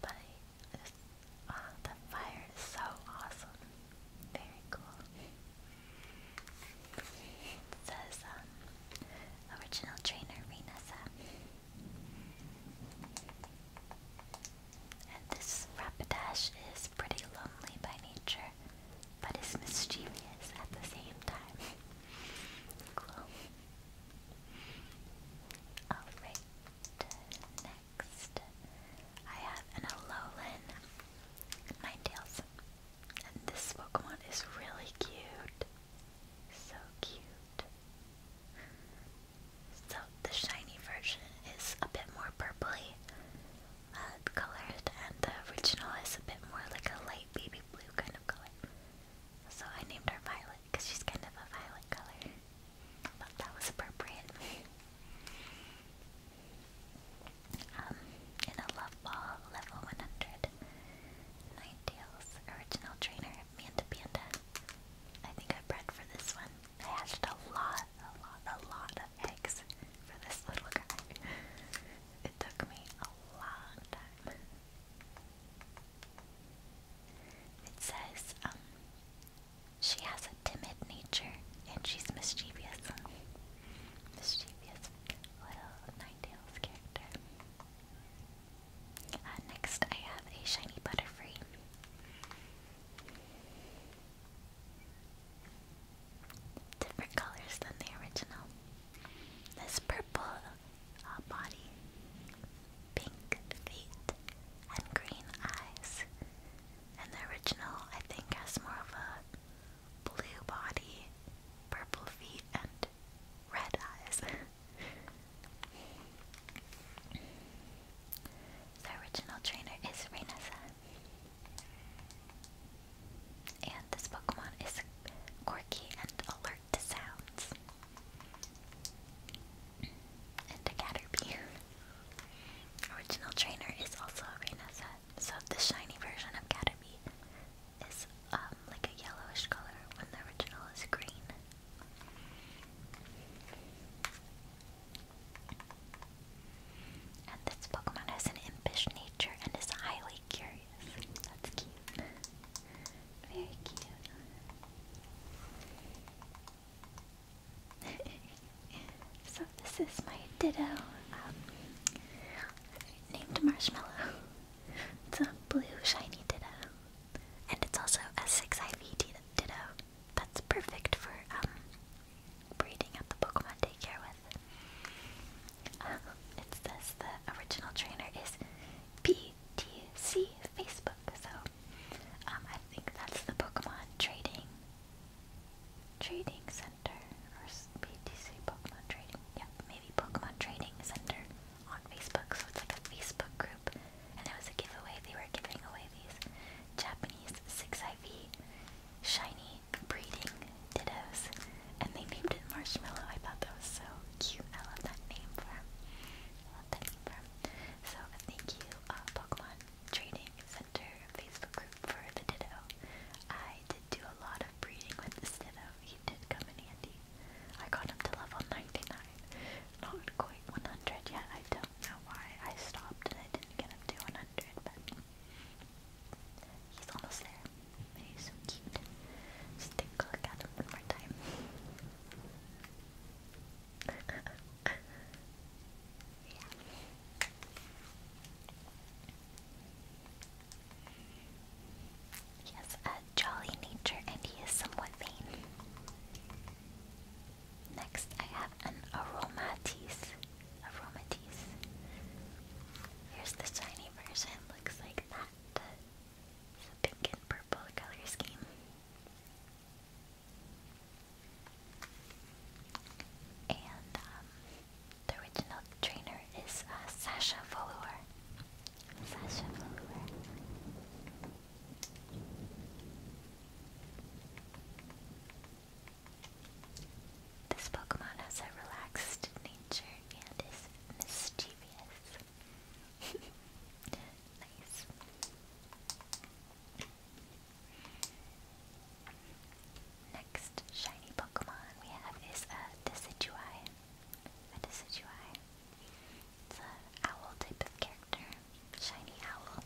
But I just, oh, fire is so awesome. Very cool. says, um, Original trainer Renessa. And this Rapidash is pretty lonely by nature, but is mischievous at the same time. Alright, next I have an Alolan Ninetales this Pokemon is really cute. So cute. So the shiny version is a bit more purpley uh, colored and the original is a bit more like a light baby blue kind of color. So I named her Violet because she's kind of a violet color. I thought that was appropriate. Um, in a love ball level 100. Ninetales, original trainer, Manta Panda. I think I bred for this one. I hatched a lot, a lot, a lot of eggs for this little guy. It took me a long time. It says, um, she has a timid nature and she's mischievous. Mischievous little Ninetales character. Uh, next, I have a shiny Butterfree. Different colors than the original. This purple uh, body, pink feet, and green eyes. And the original, I think, has more of a blue body, purple feet, and red, eyes. the original trainer is Rainessa. And this Pokemon is quirky and alert to sounds. And a Caterpie. Original trainer is also a so the shiny version of Caterpie is um, like a yellowish color when the original is green. And this Pokemon has an impish nature and is highly curious. That's cute. Very cute. so this is my Ditto, um, named Marshmallow. It's a blue shiny ditto. And it's also a 6IV ditto. That's perfect for um, breeding at the Pokemon daycare with. Um, it the original trainer is PTC Facebook, so um, I think that's the Pokemon Trading Trading Center or PTC Pokemon Trading. Yeah, maybe Pokemon Trading Center on Facebook, so it's like a Facebook group. And there was a giveaway, they were giving away these Japanese 6IV shiny breeding dittos. And they named it Marshmallow. I thought that was so cute. I love that name for him. I love that name for him. So thank you, uh, Pokemon Trading Center Facebook group for the ditto. I did do a lot of breeding with this ditto he did come in handy. I got him to level 99. Not quite 100 yet, I don't know why. I stopped and I didn't get him to 100, but he's almost there. He's so cute. Just take a look at him one more time. yeah. He has a jolly nature and he is somewhat vain. Next, I have an Aromatis. Aromatis. Here's the shiny version, looks like that. It's a pink and purple color scheme. And um, the original trainer is uh, Sasha Velour. This Pokemon has a relaxed nature and is mischievous. nice. Next shiny Pokemon we have is a a decidueye. It's a owl type of character, shiny owl.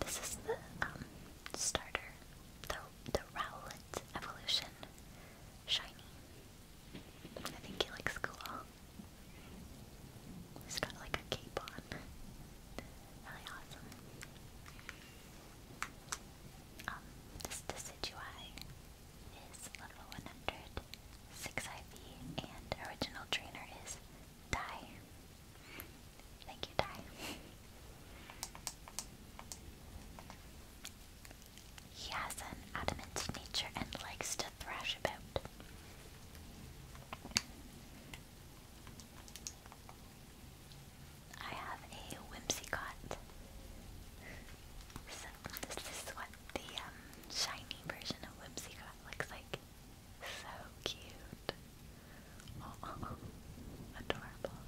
This is the um, starter, the the Rowlet evolution, shiny. I think he looks cool. He's got like a cape on. Really awesome. Um, this decidueye is level 100, IV, and original trainer is Dai. Thank you, Dai. He has an adamant nature and likes to thrash about. I have a Whimsicott. So this is what the um, shiny version of Whimsy Got looks like. So cute. Adorable.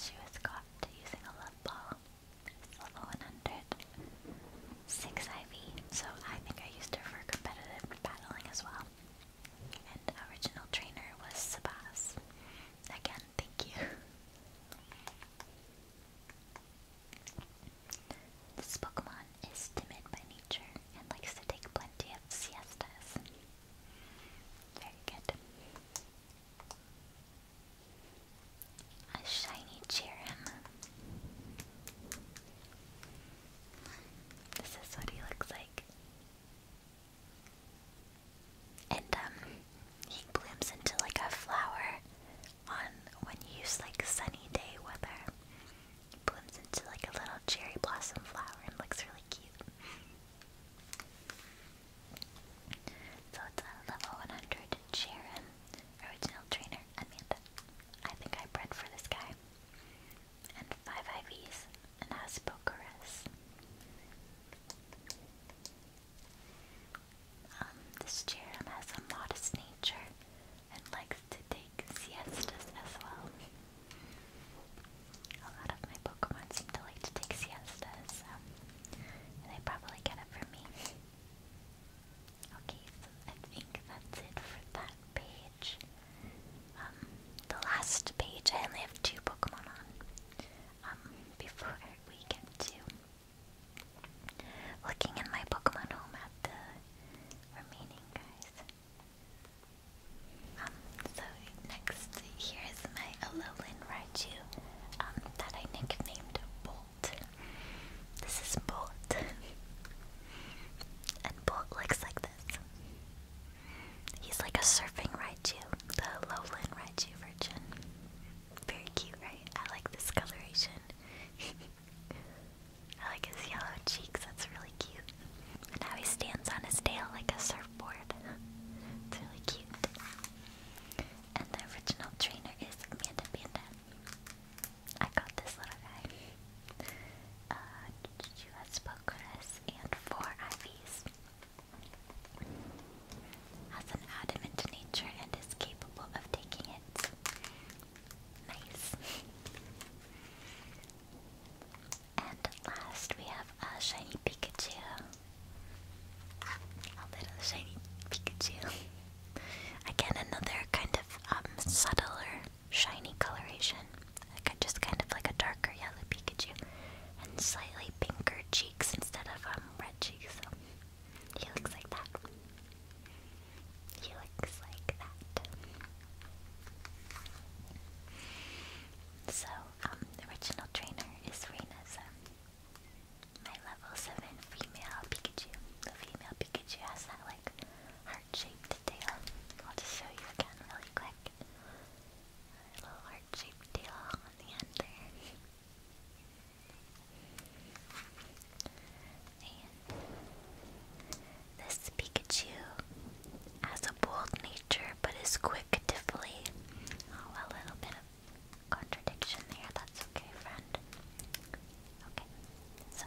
She was got using a love ball. level 100. IV, so I think I used her for competitive battling as well. And original trainer was Sabas. Again, thank you. This Pokemon is timid by nature and likes to take plenty of siestas. Very good. A shiny Cherim. This is what he looks like. And um, he blooms into like a flower on when you use like sunny day weather. It blooms into like a little cherry blossom flower and looks really cute. So it's a level 100 Sharon, original trainer Amanda. I think I bred for this guy and 5 IVs, and has Pokeress. Um, this chair has a modest nature and likes to take siestas as well. A lot of my Pokemon seem to like to take siestas, so they probably get it from me. Okay, I think that's it for that page. Um, the last page I only have two Pokemon on. Um, before we get to looking in my Pokemon home at the remaining guys. Um, so next here is my Alolan Raichu, that I nicknamed Bolt. This is Bolt. and Bolt looks like this. He's like a surfing Raichu, the lowland Raichu version. Very cute, right? I like this coloration. I like his yellow cheeks, that's really cute. And now he stands on his tail like a surfboard. it's really cute. And the original trainer is Amanda Panda. I got this little guy. Uh, US Pokeras, and 4 IVs. Has an adamant nature and is capable of taking it. Nice. and last we have a shiny Pikachu. A little shiny Pikachu. Again, another kind of um, subtler shiny coloration, like just kind of like a darker yellow Pikachu, and slightly pinker cheeks instead of um red cheeks. So he looks like that. He looks like that. So um, the original trainer is Rina, my level seven female Pikachu. The female Pikachu has that like heart-shaped tail. I'll just show you again really quick. A little heart-shaped tail on the end there. And this Pikachu has a bold nature but is quick to flee. Oh, a little bit of contradiction there. That's okay, friend. Okay, so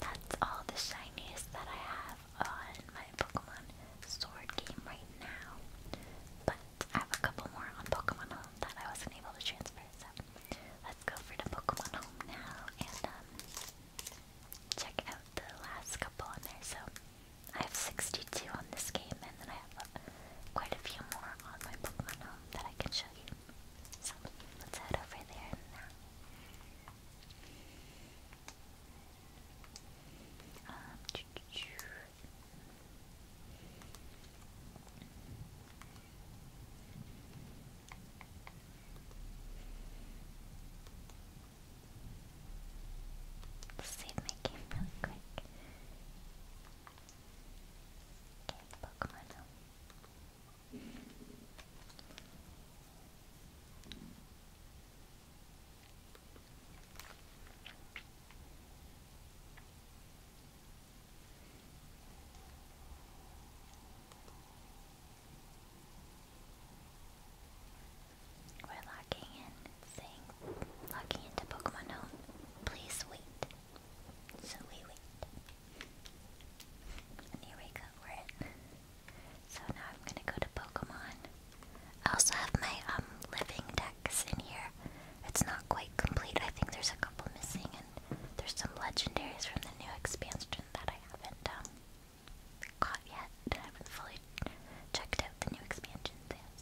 that's all the shinies that I have on my Pokemon Sword game right now, but I have a couple more on Pokemon Home that I wasn't able to transfer, so let's go for the Pokemon Home now and um, check out the last couple on there. So I have 62 on this game, and then I have uh, quite a few more on my Pokemon Home that I can show you. So let's head over there now. Um, choo Let's save my game really quick. Okay, Pokemon we're locking in, saying, into Pokemon Home. Please wait. So we wait. And here we go, we're in. So now I'm gonna go to Pokemon. I also have my um, living decks in here. It's not quite complete. I think there's a couple missing, and there's some legendaries from the new expansion that I haven't um, caught yet. I haven't fully checked out the new expansion yet.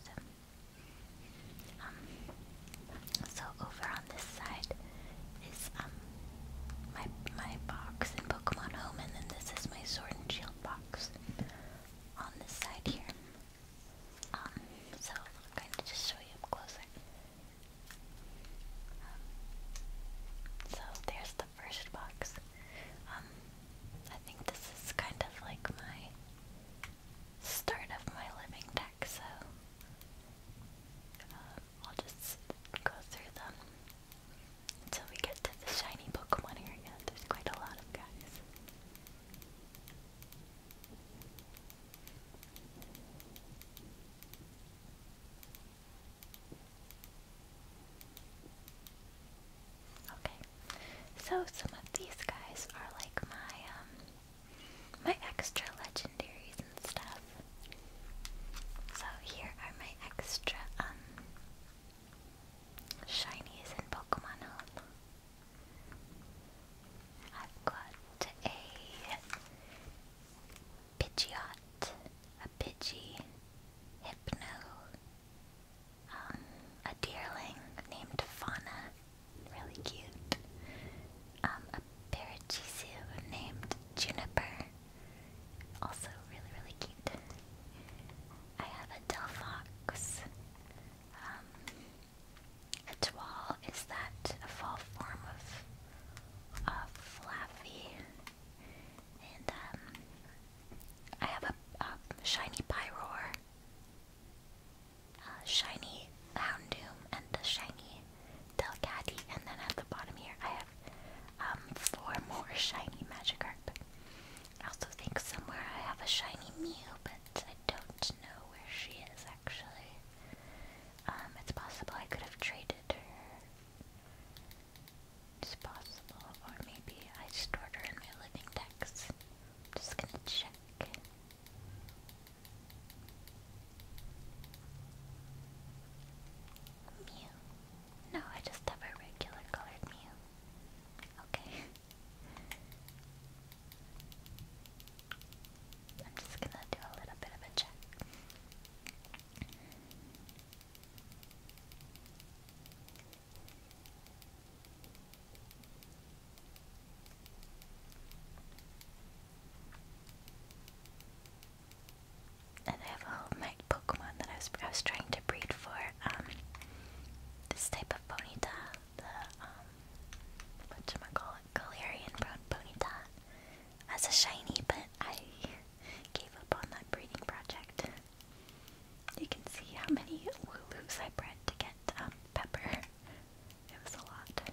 Um, so. over on this side is my my box in Pokemon Home, and then this is my Sword and Shield box on this side here. Um, so I'll kind of just show you up closer. Um, so there's the first box. Um, I think this is kind of like my start of my living deck, so uh, I'll just go through them until we get to the shiny Pokemon area. There's quite a lot of guys. Okay, so some of these guys are like my um, my extra legendaries and stuff. So here are my extra um Shinies in Pokemon Home. I've got a Pidgeot, a Pidgey, Hypno, um, a Deerling named Fauna, really cute, um, a Parachisiu named Juniper, also really, really cute. I have a Delphox. Um, a Twoil, is that a fall form of, of Flaffy? And um, I have a, shiny Pyroar, a shiny Houndoom, and a shiny Delcatty. And then at the bottom here, I have um, four more shiny Magikarp. I also think somewhere I have a shiny Mew, but I don't know where she is actually. Um, it's possible I could have traded her. It's possible, or maybe I stored her in my living decks. I'm just gonna check. Mew. No, I just have a regular colored Mew. Okay. I'm just gonna do a little bit of a check and I have a whole Pokemon that I was I was trying to breed for um, this type of Ponyta, the um whatchamacallit, Galarian brown Ponyta. As a shiny, but I gave up on that breeding project. You can see how many Wooloos I bred to get um, pepper. It was a lot.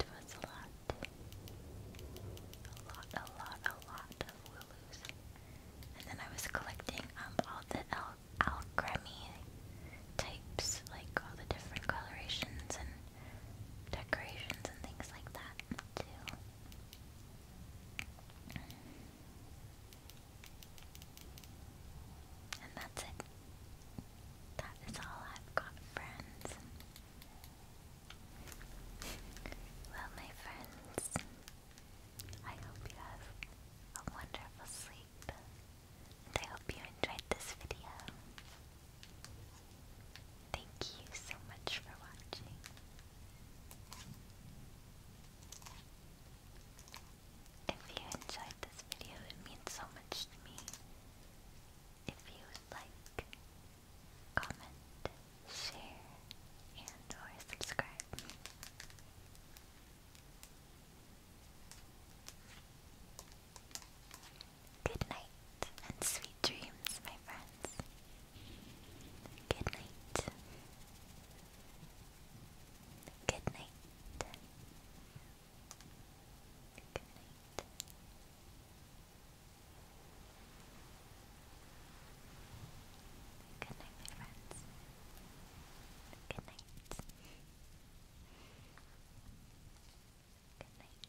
It was a lot. A lot, a lot, a lot of Wooloos. And then I was collecting um, all the al alchemy types, like all the different colorations and decorations and things like that, too. And that's it. That is all I've got, friends. Well, my friends, I hope you have a wonderful sleep, I hope you enjoyed this video. Thank you so much for watching. If you enjoyed this video, it means so much to me. If you like, comment, share, and or subscribe. Good night and sweet dreams, my friends. Good night. Good night. Good night. Good night, my friends. Good night. Good night.